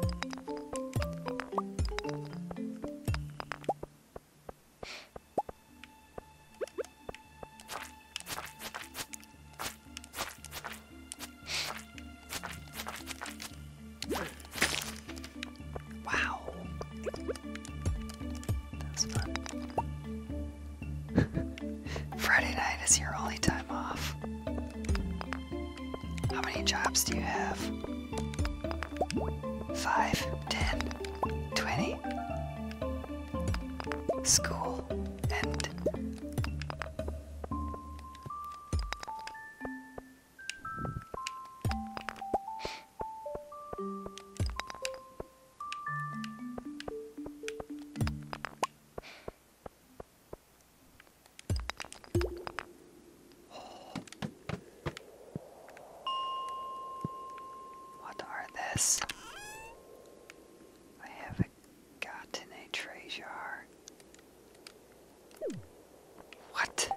Wow, that fun. Friday night is your only time off. How many jobs do you have? Five, ten, twenty. School and what are this? I have gotten a treasure. What?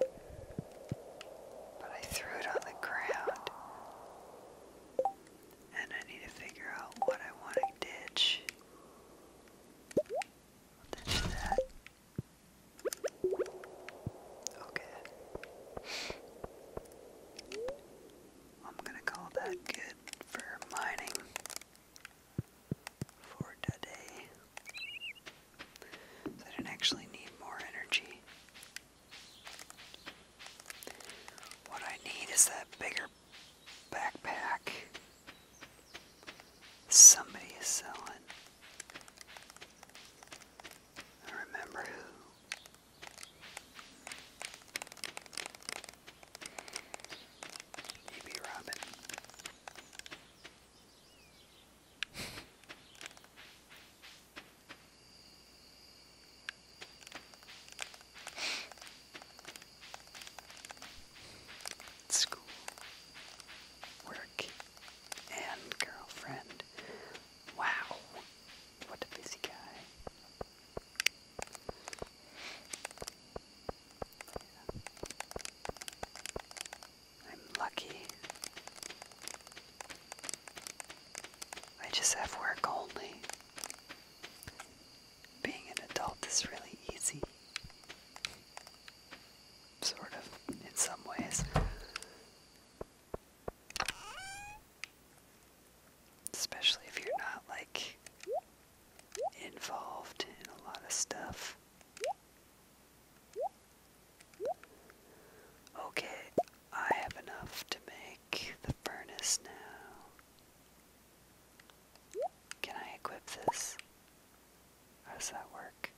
But I threw it on the ground. And I need to figure out what I want to ditch. Okay. I'm gonna call that good for mining for today. I don't actually need more energy. What I need is that bigger backpack. Somebody is selling. I remember who. E.B. Robin. School, work, and girlfriend. Wow, what a busy guy. I'm lucky. I just have work only being an adult is really easy. Sort of, in some ways. Especially if you're not, like, involved in a lot of stuff. Okay, I have enough to make the furnace now. Can I equip this? How does that work?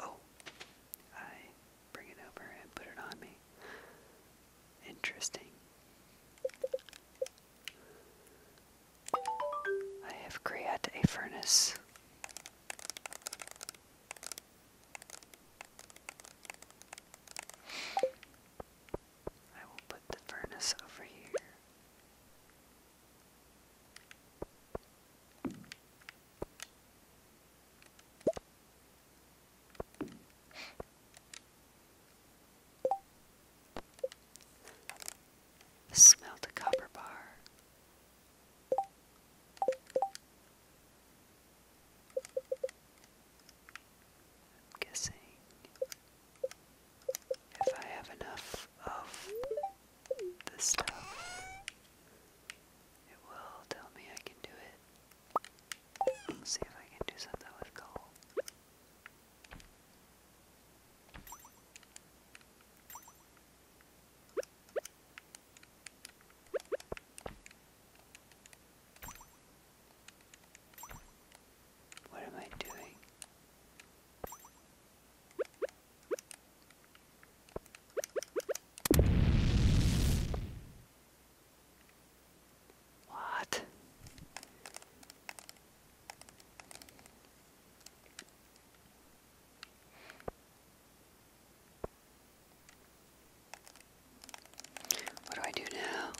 Oh, I bring it over and put it on me. Interesting. I have created a furnace. I will put the furnace over here. Smelt a copper bar. I'm guessing if I have enough of this stuff, it will tell me I can do it. see if I can do something with coal. What am I doing? What? What do I do now?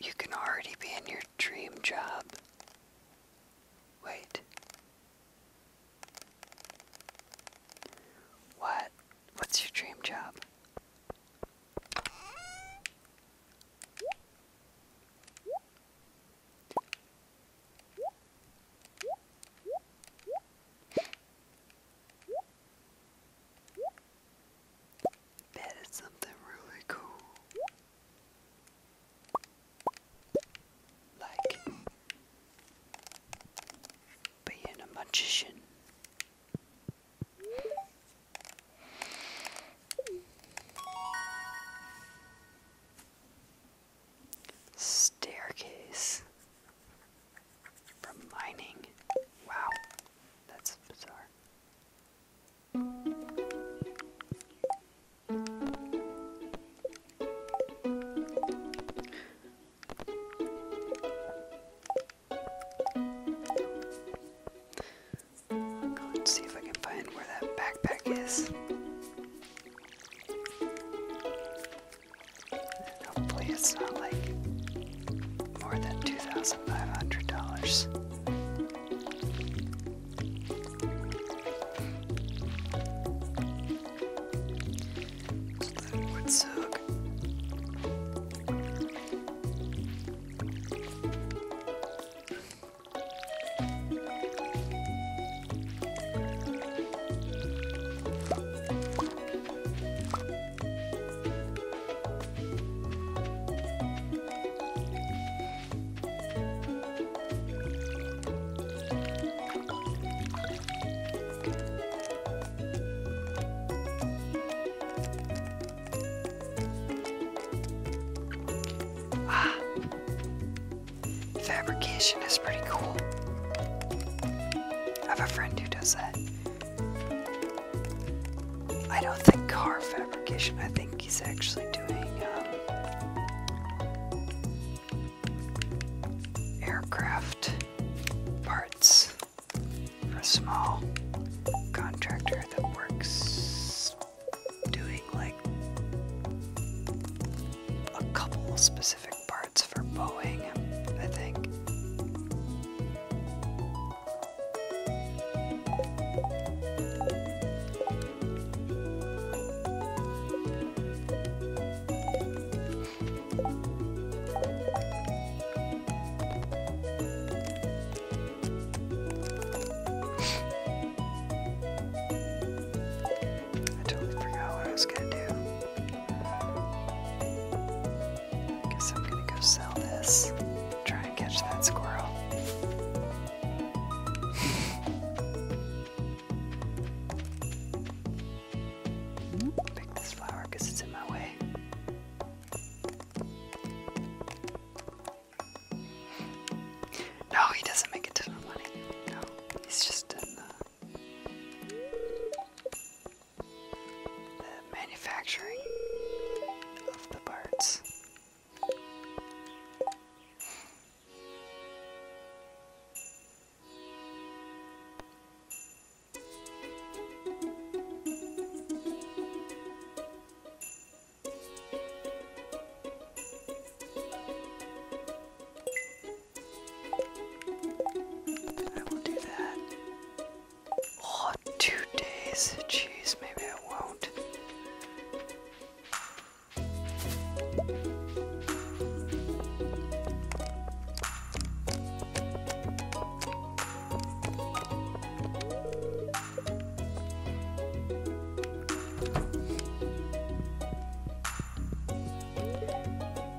You can already be in your dream job. Wait. What? What's your dream job? Bet it's something really cool like being a magician. Staircase from mining. Wow, that's bizarre. I'll see if I can find where that backpack is. hopefully it's not like more than $2,500. That would suck. Ah, fabrication is pretty cool. I have a friend who does that. I don't think car fabrication, I think he's actually doing um, aircraft parts for a small contractor that works doing like a couple specific parts for Boeing, I think. I totally forgot what I was gonna do. guess I'm gonna go sell this. Try and catch that squirrel. pick this flower because it's in my way. No, he doesn't make a ton of money. No, he's just in the manufacturing of the parts. I will do that. Oh, two days. Jeez, maybe I won't.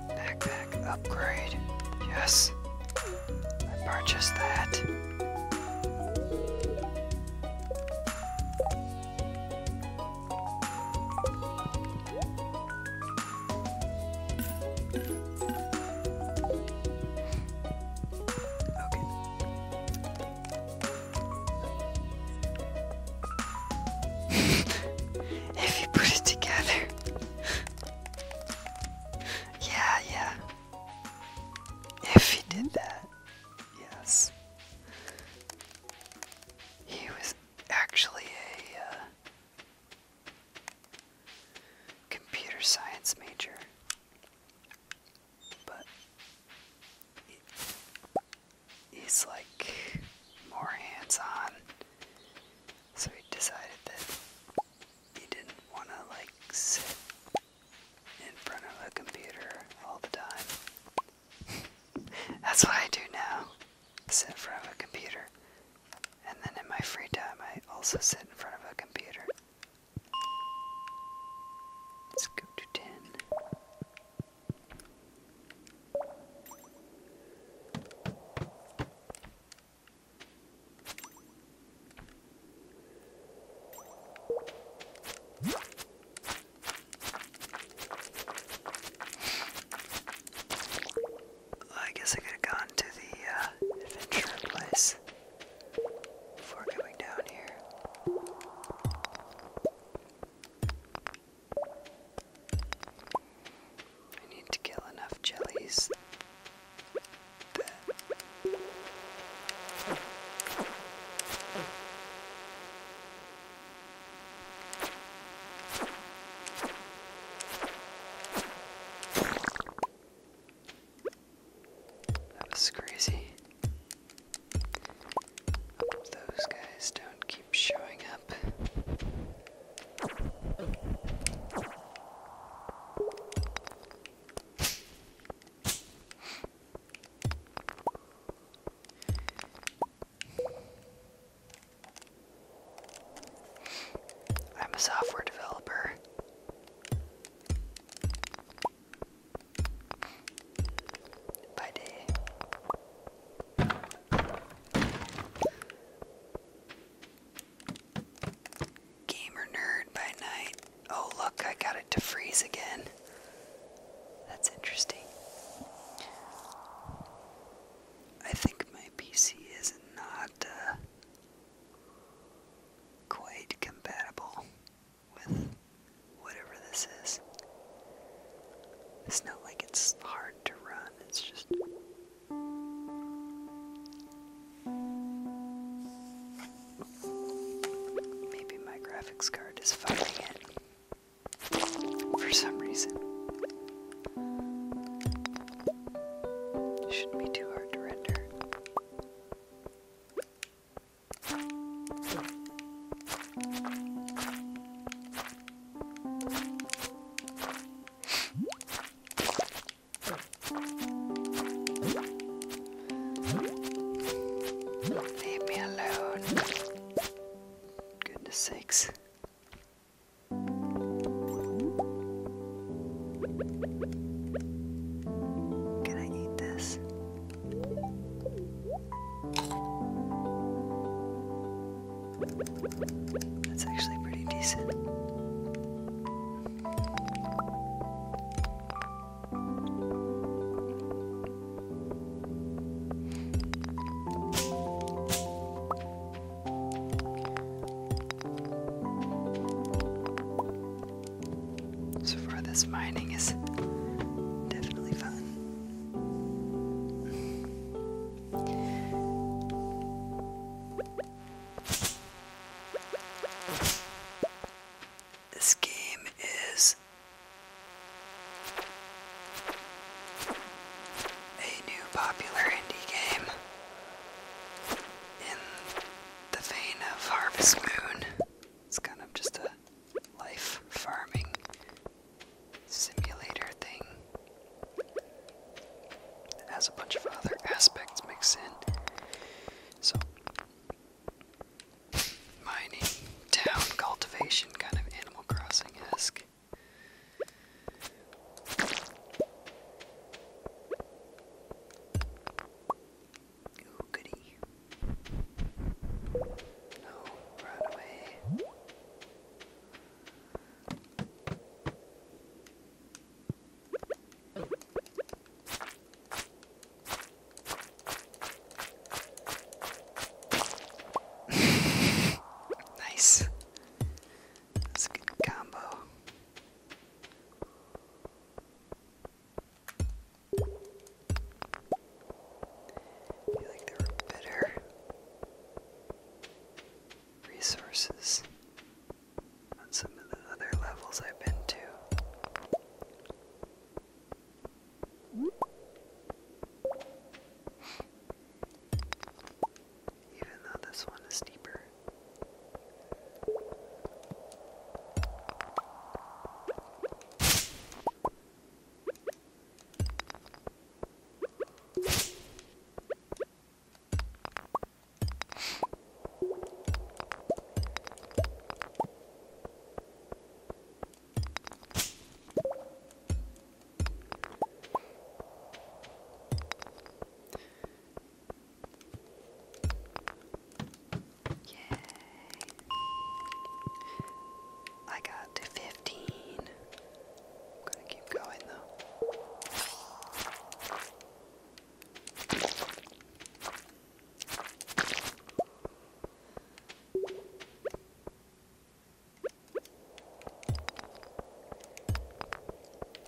Backpack upgrade. Yes. I purchased that. Okay. if you put it together. yeah, yeah. If he did that. Yes. He was actually a uh, computer science major, but he's like more hands on, so he decided that he didn't want to like sit in front of a computer all the time. That's what I do now. Sit in front of a computer and then in my free time, I also sit in front of a computer. Let's go to 10. I guess I could have gone to the uh, adventure place before coming down here. I need to kill enough jellies that was crazy. Hope those guys don't keep showing up. I'm a software developer. By day. Gamer nerd by night. Oh, look, I got it to freeze again. That's interesting. I think my PC is not uh, quite compatible with whatever this is. It's not like it's hard to run, it's just. Maybe my graphics card is fighting it for some reason. Shouldn't be too hard to render. Leave me alone. Goodness sakes. Can I eat this? That's actually pretty decent. So far, this mining is definitely fun. This game is a new popular indie game in the vein of Harvest Moon. It's kind of just a life farming simulator thing. It has a bunch of other aspects mixed in. So, mining, town, cultivation, kind of Animal Crossing esque. Ooh, goody. No, oh, run away. nice. That's a good combo. I feel like there were better resources on some of the other levels I've been to even though this one is deeper. Yay. I got 15. gonna keep going though.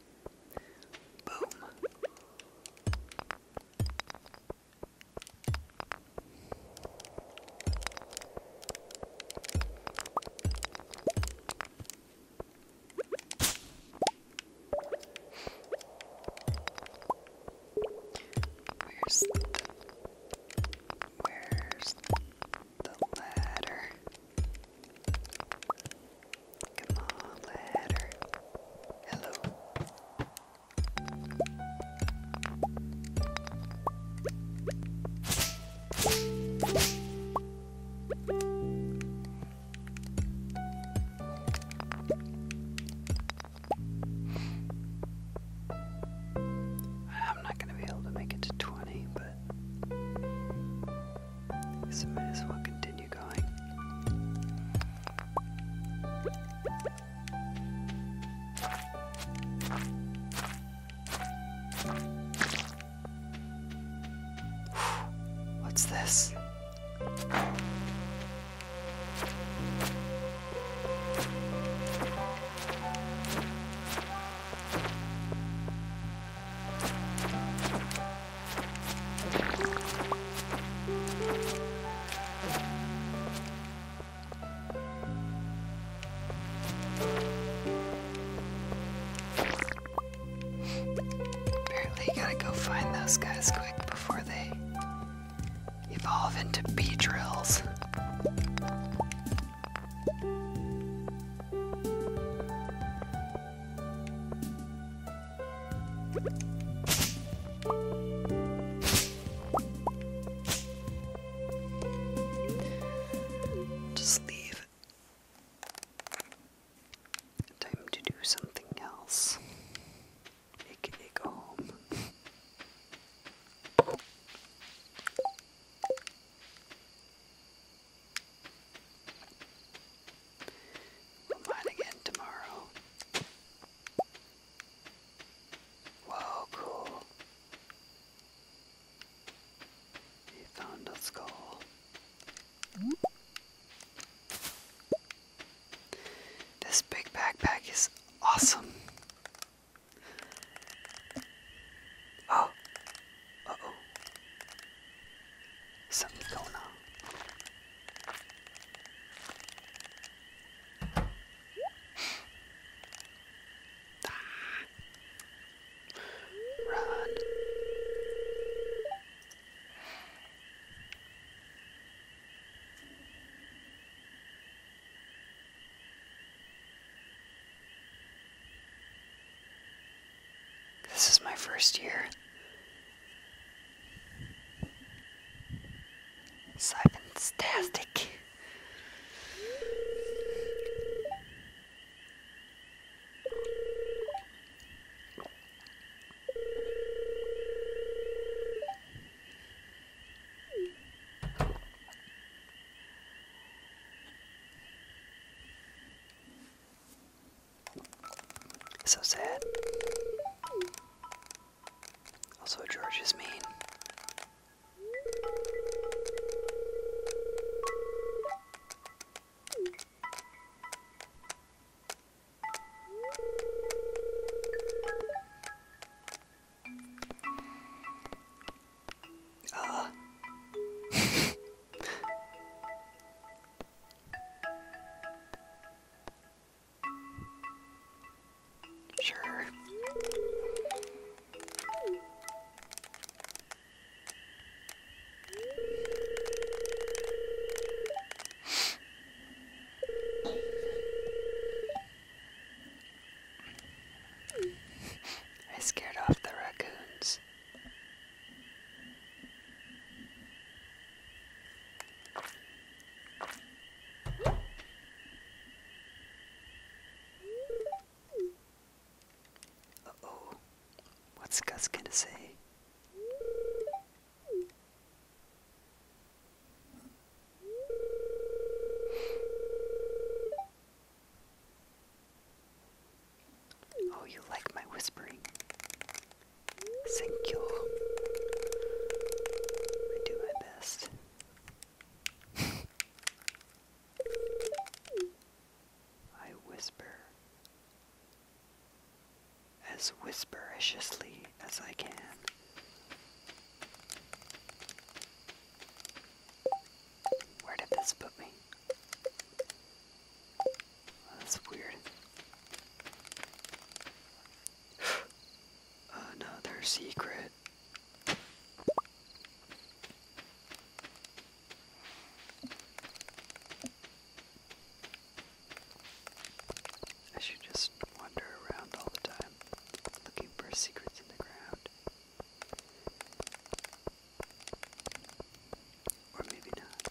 Boom. Where's the, where's the ladder? Come on, ladder. Hello. I'm not going to be able to make it to 20, but so may as well continue going. What's this? Apparently gotta go find those guys quick before they evolve into bee drills. Just leave it. Time to do something else. AKA go home. We'll mine again tomorrow. Whoa, cool. He found a skull. This big backpack is awesome. Oh. oh. Something's going on. Run. This is my first year so fantastic. So sad. Also, George is mean. Ah. Sure. I scared off the raccoons. Uh-oh. What's Gus gonna say? Oh, you like my whispering secure. I do my best. I whisper as whisperishly as I can. Where did this put me? that's weird. Another secret. I should just wander around all the time looking for secrets in the ground. Or maybe not.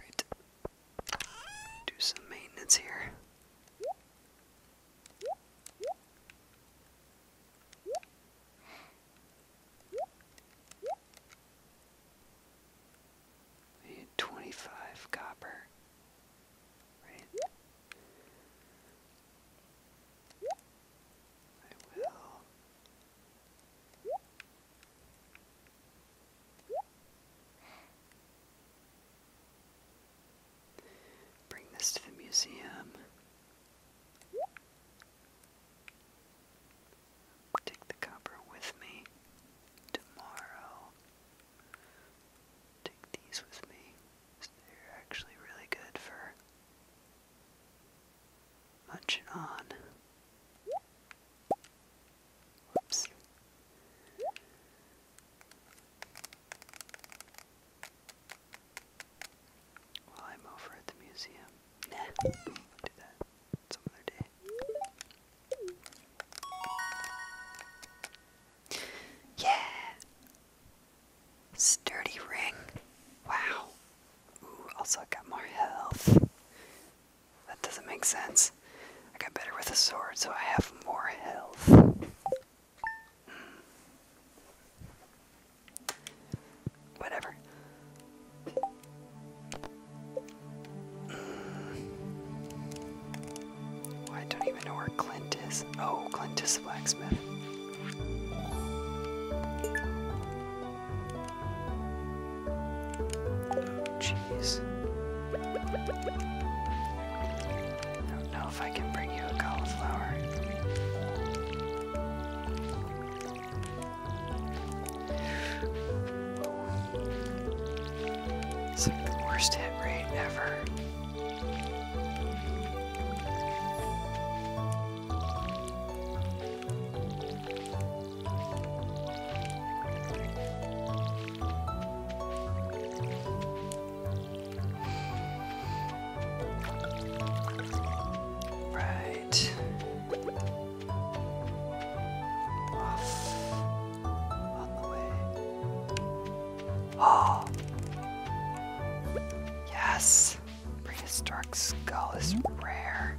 Right. Do some maintenance here. 25 copper. Right. I will Bring this to the museum. Take the copper with me tomorrow. Take these with me. They're actually really good for much on. Whoops. While I'm over at the museum. Nah, Yeah! Sturdy ring. Wow. Ooh, also I got more health. That doesn't make sense. I got better with a sword, so I have more health. Hmm. Whatever. Hmm. I don't even know where Clint is. Oh, Clint is the blacksmith. Jeez. I don't know if I can bring you a cauliflower. It's like the worst hit rate ever. Right. Off. On the way. Oh. Yes. Prehistoric skull is rare.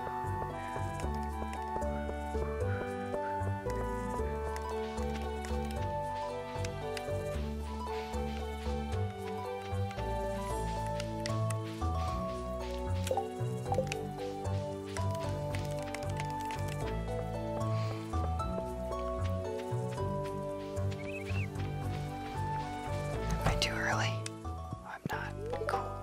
Am I too early? I'm not. Cool.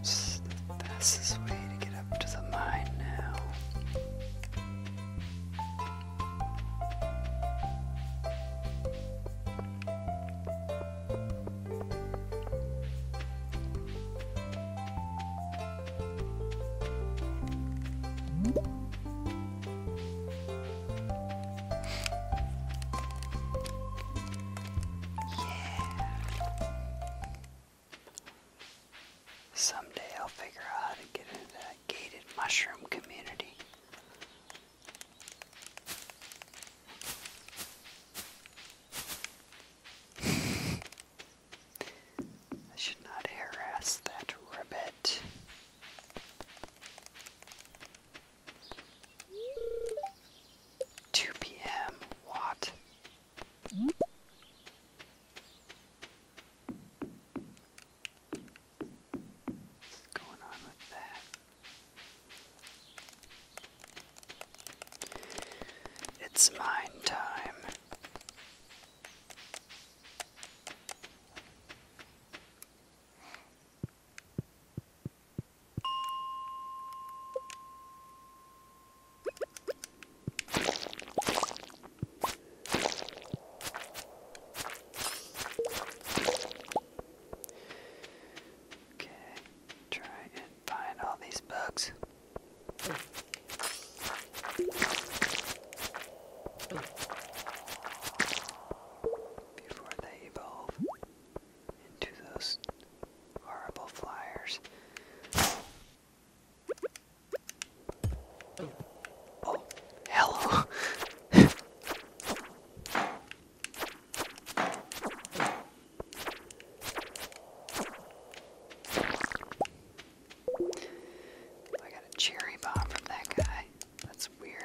It's the fastest way to get up to the mine now. Yeah. Someday I'll figure out how to get into that gated mushroom community. I should not harass that rabbit. 2 p.m. What? What's going on with that? It's mine time. Okay, try and find all these bugs before they evolve into those horrible flyers. Oh, hello! I got a cherry bomb from that guy. That's weird.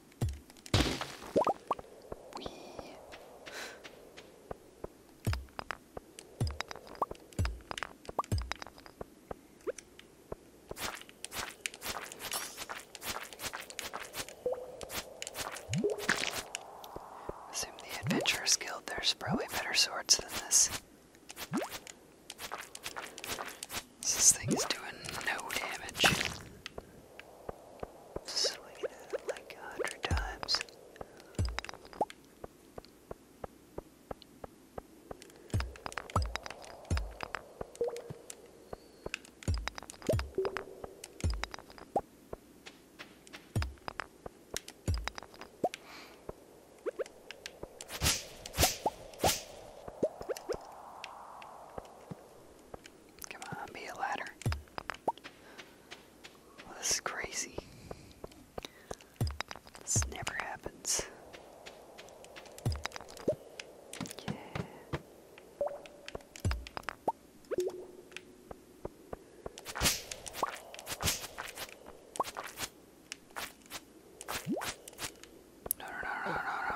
Oui. Assume the Adventurer's Guild, there's probably better swords than this. This thing is doing no damage. Swinging at it like a hundred times. Come on, be a ladder. this is crazy. This never happens. no, no, no, no, no.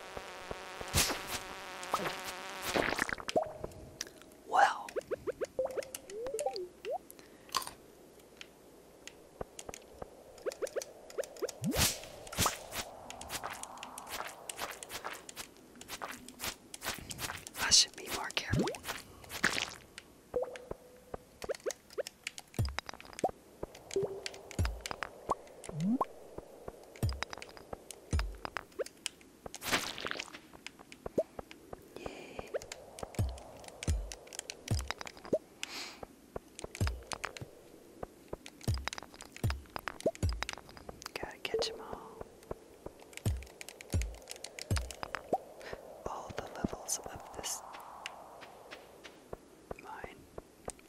Well, I should be more careful. Yay. Gotta catch all. All the levels of this mine.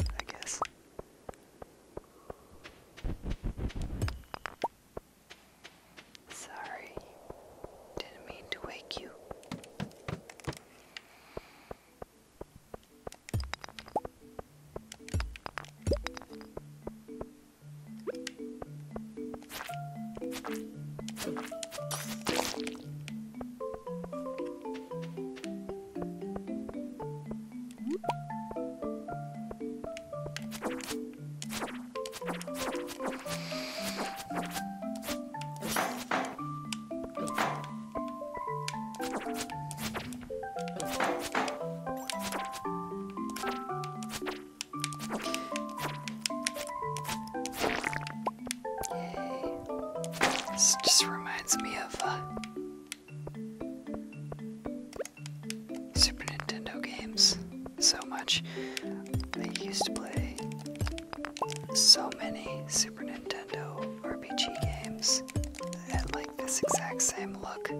I guess. Sorry, didn't mean to wake you. This just reminds me of uh, Super Nintendo games so much. I used to play so many Super Nintendo RPG games and like this exact same look.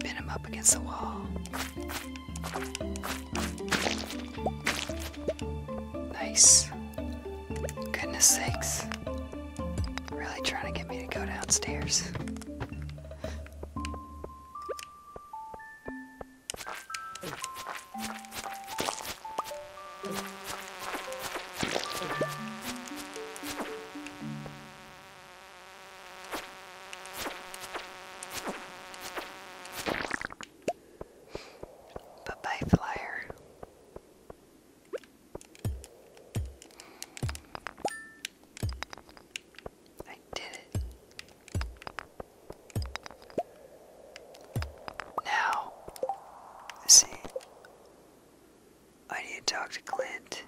Pin him up against the wall. Nice. Goodness sakes. Really trying to get me to go downstairs. But by flyer. I did it. Now, see, I need to talk to Clint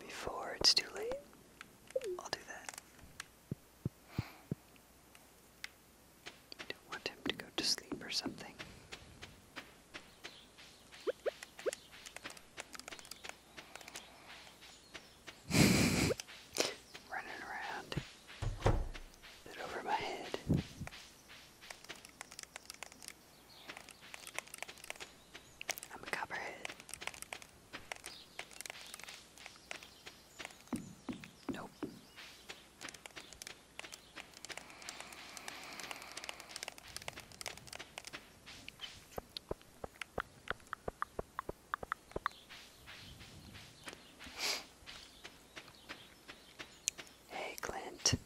before it's too late. I'll do that. don't want him to go to sleep or something. Running around. Bit over my head. I'm a copperhead. Nope. Hey Clint,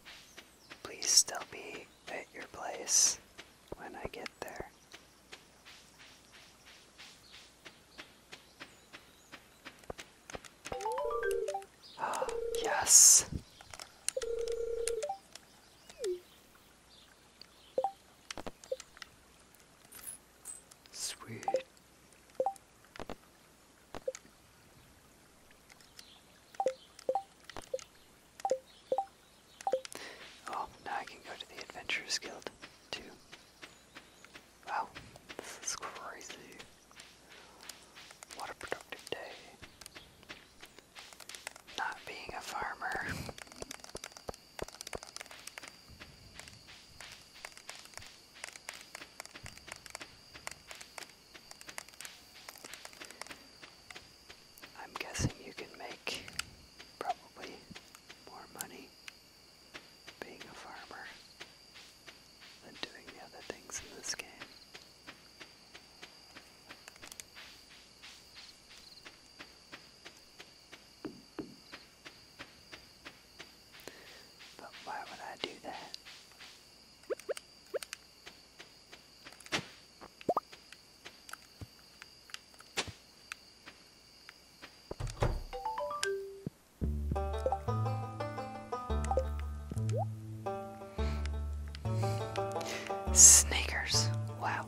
please still be at your place when I get there. Ah, yes. Sweet. Oh, now I can go to the Adventurers Guild, Wow, this is crazy. What a productive day. Not being a farmer. I'm guessing you can make probably more money being a farmer than doing the other things in this game why would I do that? Sneakers. Wow.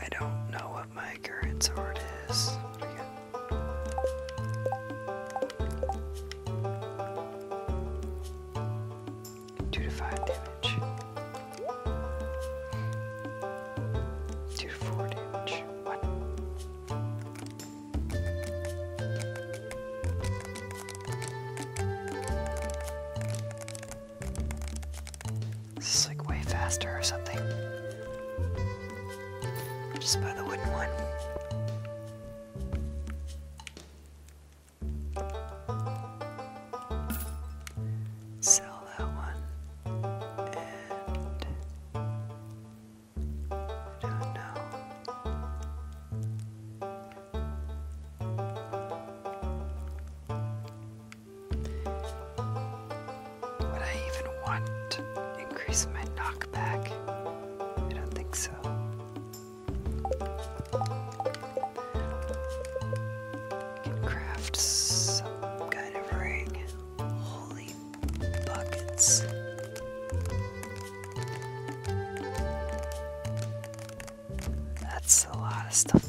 I don't know what my current sword is. Two to five damage. Two to four damage. This is like way faster or something. Just by the wooden one. Sell that one. I don't know. Would I even want to increase my knockback? I don't think so. You can craft some kind of ring. Holy buckets. That's a lot of stuff.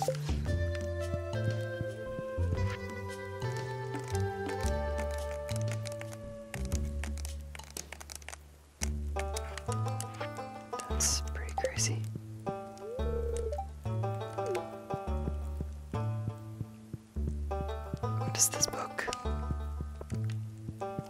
That's pretty crazy. What is this book?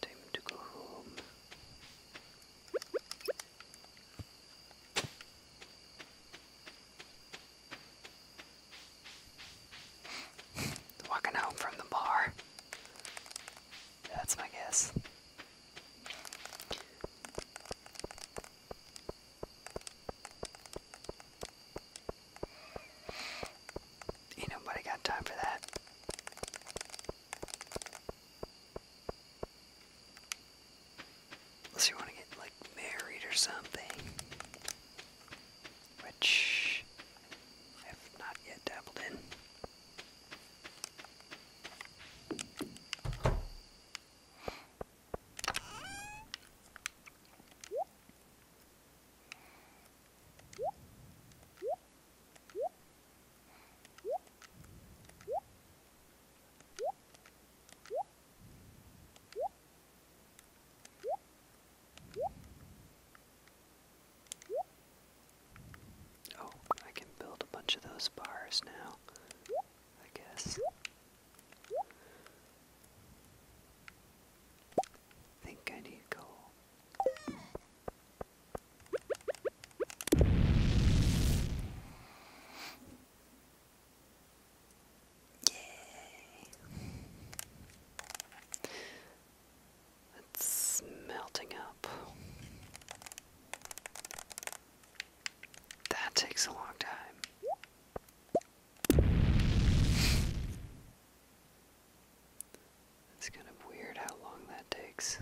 Time to go home. Walking home from the bar. That's my guess. Ain't nobody got time for that. Unless you want to get like married or something. Which I've not yet dabbled in. Oh, I can build a bunch of those bars now, I guess. I think I need coal. Yay. It's melting up. That takes a long time. It's kind of weird how long that takes.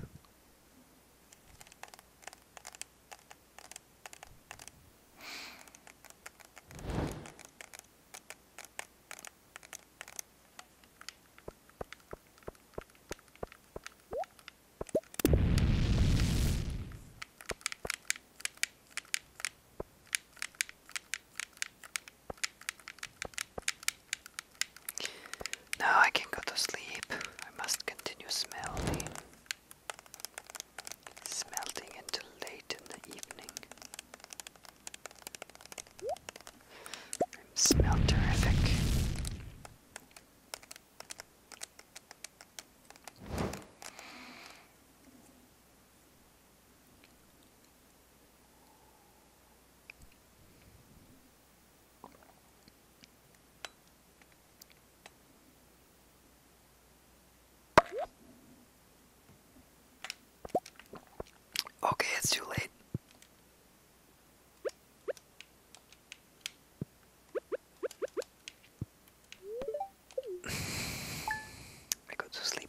Now I can go to sleep. I must continue smelting. Smelting until late in the evening. I smell terrific. Okay, it's too late. I go to sleep.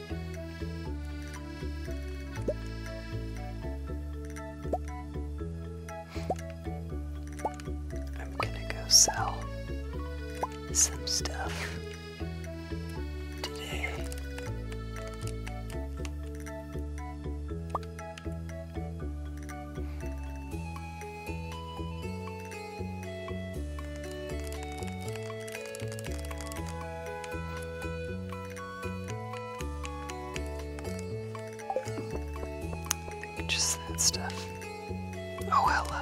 I'm gonna go sell some stuff today. Just that stuff. Oh, hello.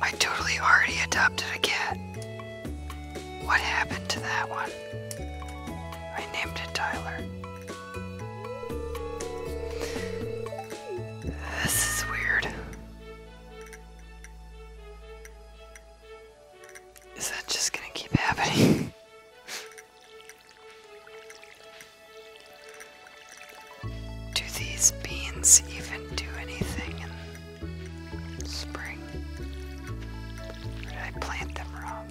I totally already adopted a cat. What happened to that one? I named it Tyler. This is weird. Is that just gonna keep happening? Do these beans even do anything in spring? did I plant them wrong?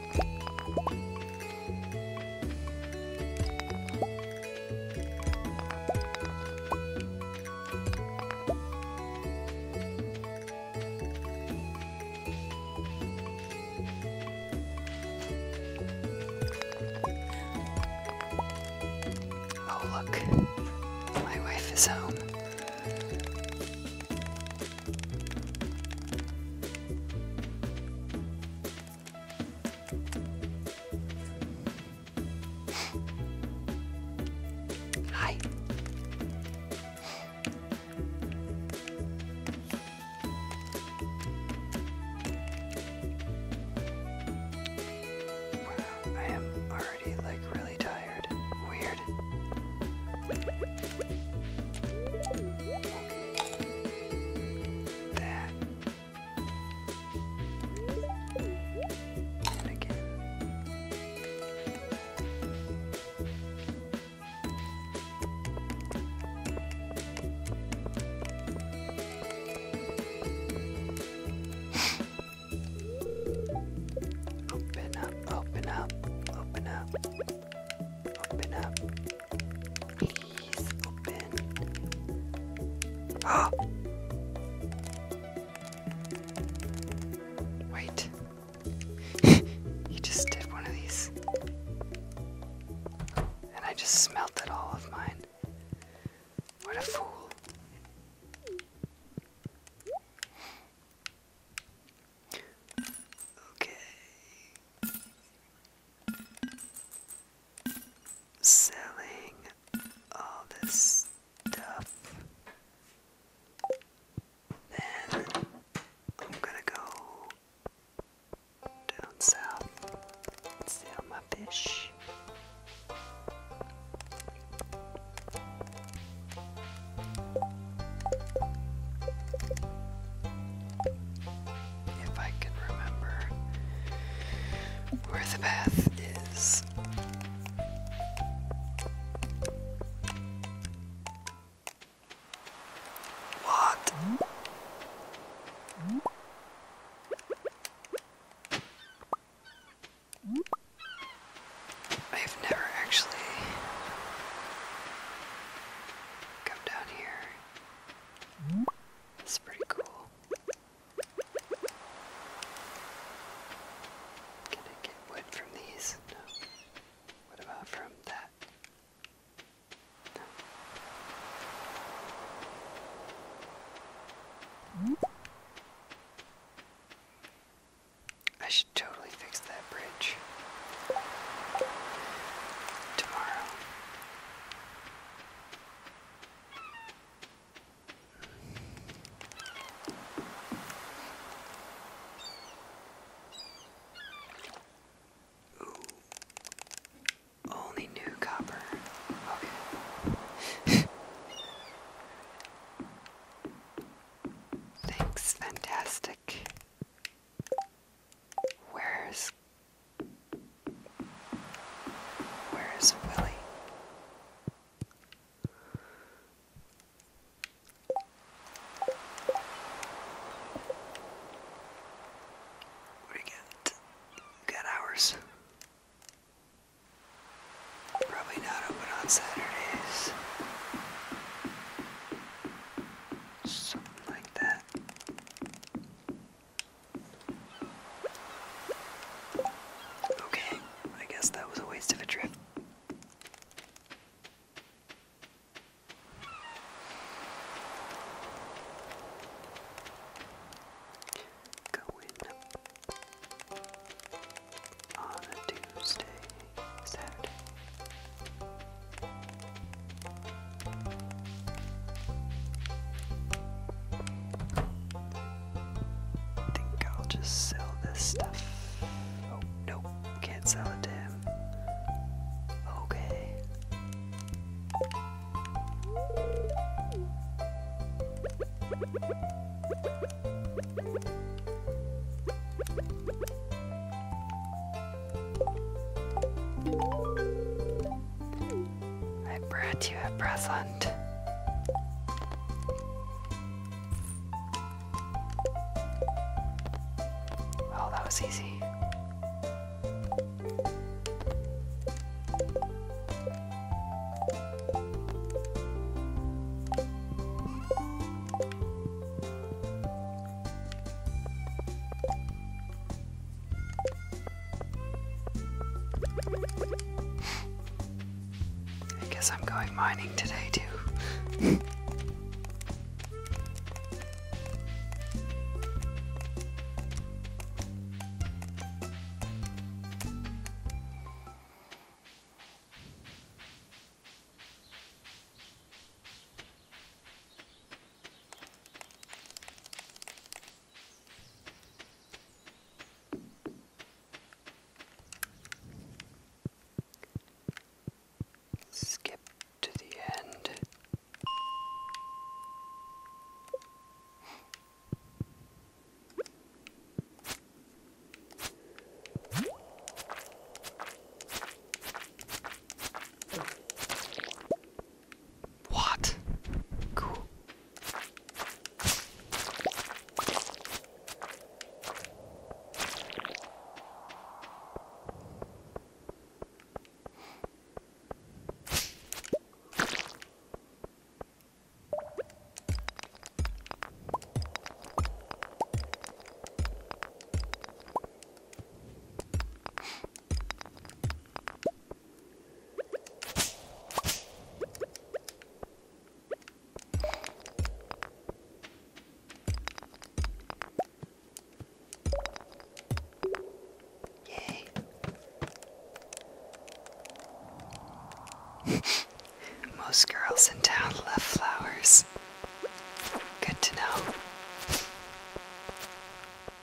Oh, look, my wife is home. Hi. Wow, I am already like really tired. Weird that. And again. open up, open up, open up, open up. Please open. Ah! Wait. you just did one of these. And I just smelted all of mine. What a fool. Okay selling all this stuff. Then I'm gonna go down south and sell my fish if I can remember where the path is. What? I've never actually come down here. It's pretty cool. Can I get wood from these? No. What about from that? No. I should totally fix that bridge tomorrow. Ooh. Only new copper. Okay. Thanks, fantastic. Where's where is Willie? We get we got hours. Probably not open on Saturdays. Something like that. Okay, I guess that was a waste of a trip. Going on a Tuesday, Saturday. I think I'll just sell this stuff. Oh, nope, can't sell it to him. Okay. I brought you a present. Oh, that was easy. I guess I'm going mining today too. Skip to the end. What? Cool. Yay. Most girls in town love flowers. Good to know.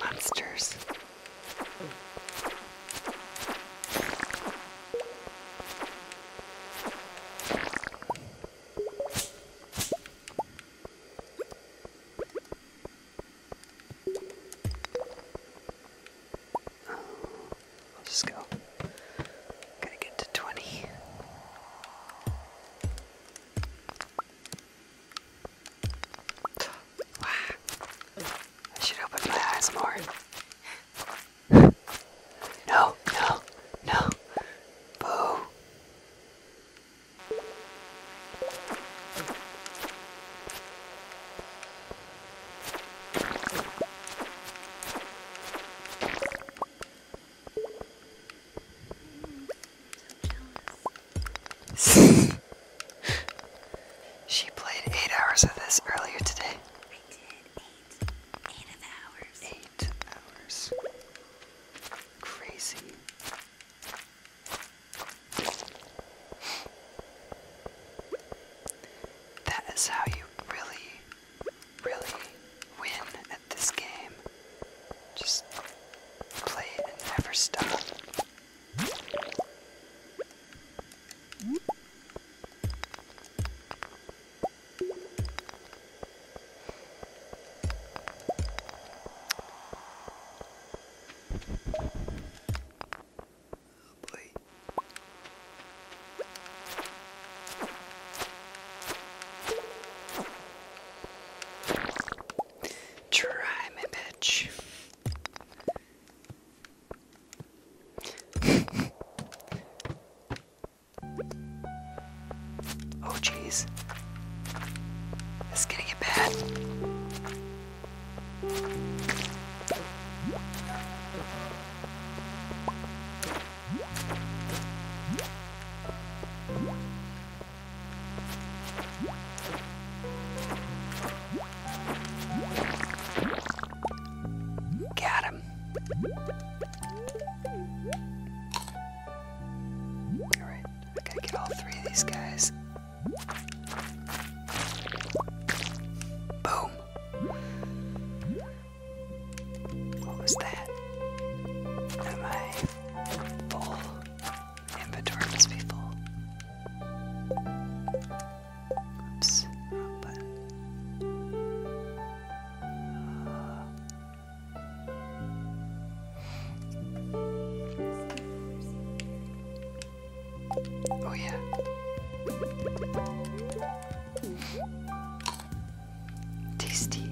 Monsters. Oh, I'll just go. Gotta get to 20. Wow. I should open my eyes more. No, no, no. Boo. she played eight hours of this earlier today. eight. hours. Eight hours. Crazy. That is how you really, really win at this game. Just play and never stop. Try me, bitch. oh, jeez. It's gonna get bad. Got him. Alright, I gotta get all three of these guys Boom. What was that? Am I full? Inventory must be full. Oops, wrong button. Uh, Oh, yeah. Tasty.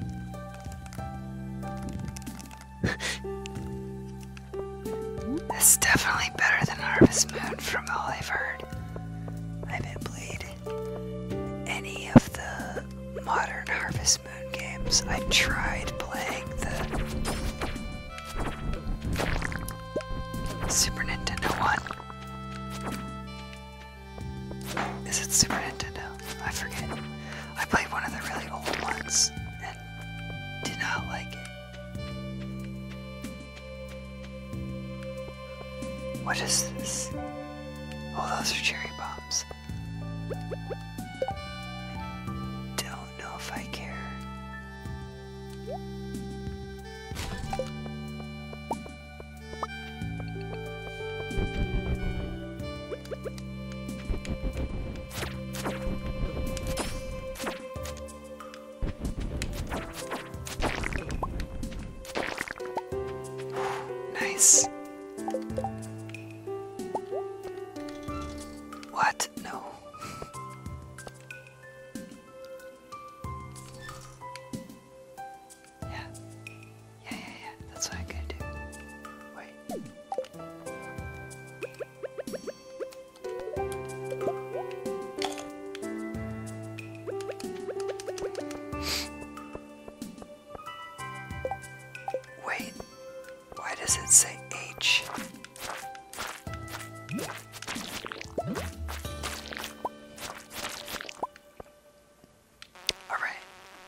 This is definitely better than Harvest Moon from all I've heard. I haven't played any of the modern Harvest Moon games. I tried playing the Super Nintendo one. Is it Super Nintendo? I forget. I played one of the really old ones and did not like it. What is this? Oh, those are cherry bombs. Don't know if I care. Nice. What? No. Yeah. Yeah, yeah, yeah. That's what I'm gonna do. Wait. Wait, why does it say H? All right,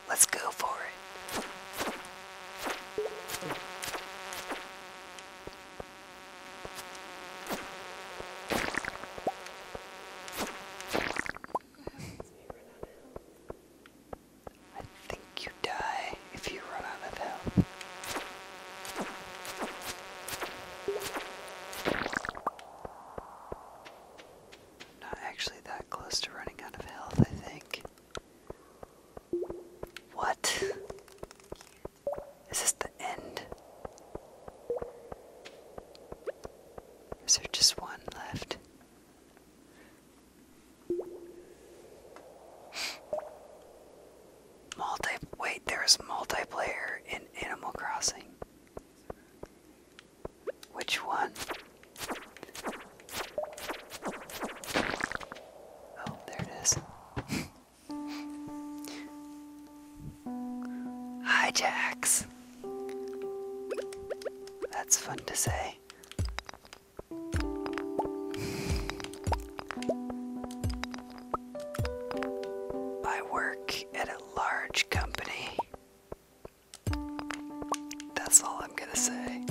let's go for it. I think you die if you run out of health. Not actually that close to running out of health, I think. What? Is this the end? Is there just one left? Multi wait, there's multiplayer in Animal Crossing. Which one? Oh, there it is. Hi, Jax. That's fun to say. I work at a large company. That's all I'm gonna say.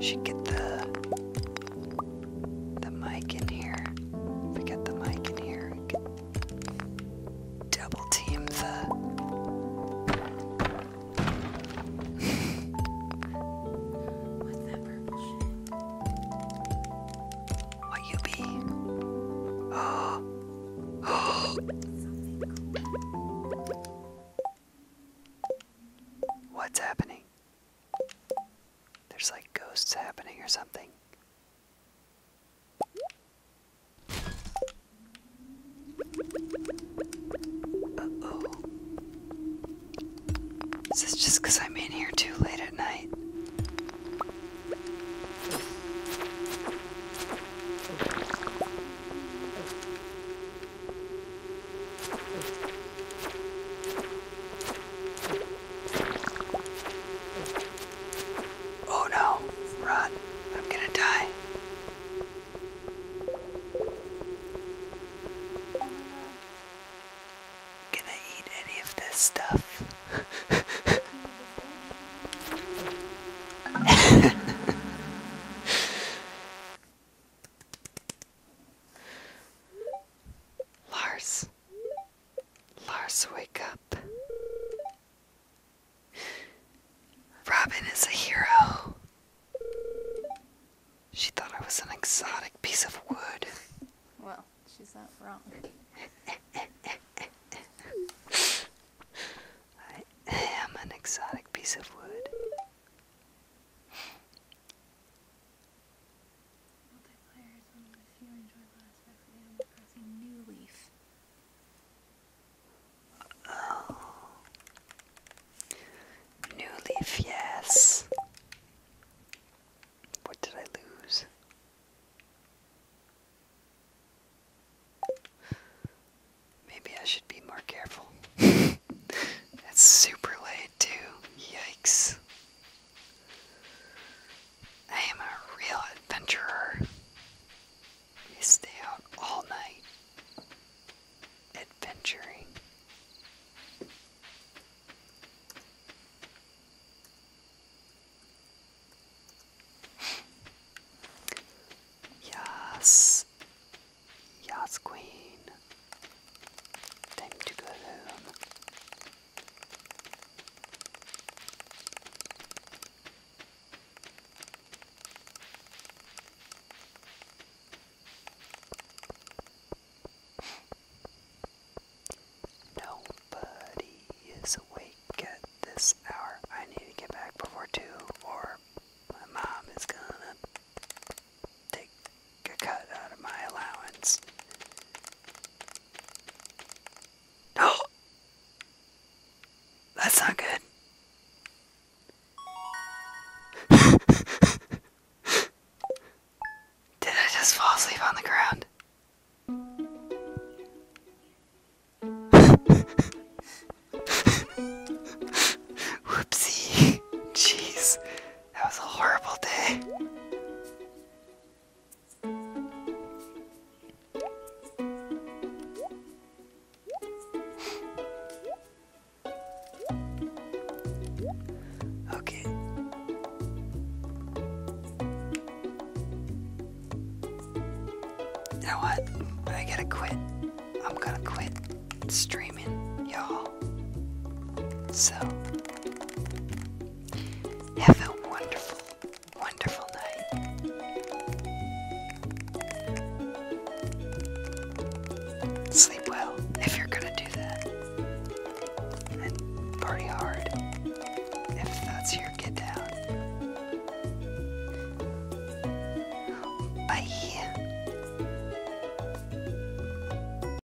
Should get the the mic in here. we get the mic in here, double team the. What's that purple shit? What you be? What's happening? There's like ghosts happening or something. oh. Is this just I'm in here too late at night? Oh no, run. I'm gonna die. Gonna eat any of this stuff. Lars. Lars, wake up. Robin is a hero. She thought I was an exotic piece of wood. Well, she's not wrong. I am an exotic piece of wood. New Leaf. Oh. New Leaf, yes. What did I lose? Maybe I should be more careful. it's super late, too. Yikes. I am a real adventurer. We stay out all night adventuring. Yes. Yes, Queen. Time to go home. Nobody is awake at this hour. I need to get back before two, or my mom is gonna take a cut out of my allowance. Oh! That's not good. Did I just fall asleep on the ground? Whoopsie. Jeez. That was a horrible day. okay. You know what? I gotta quit. I'm gonna quit streaming, y'all. So, have a wonderful, wonderful night. Sleep well if you're going to do that. And party hard if that's your get down. Bye.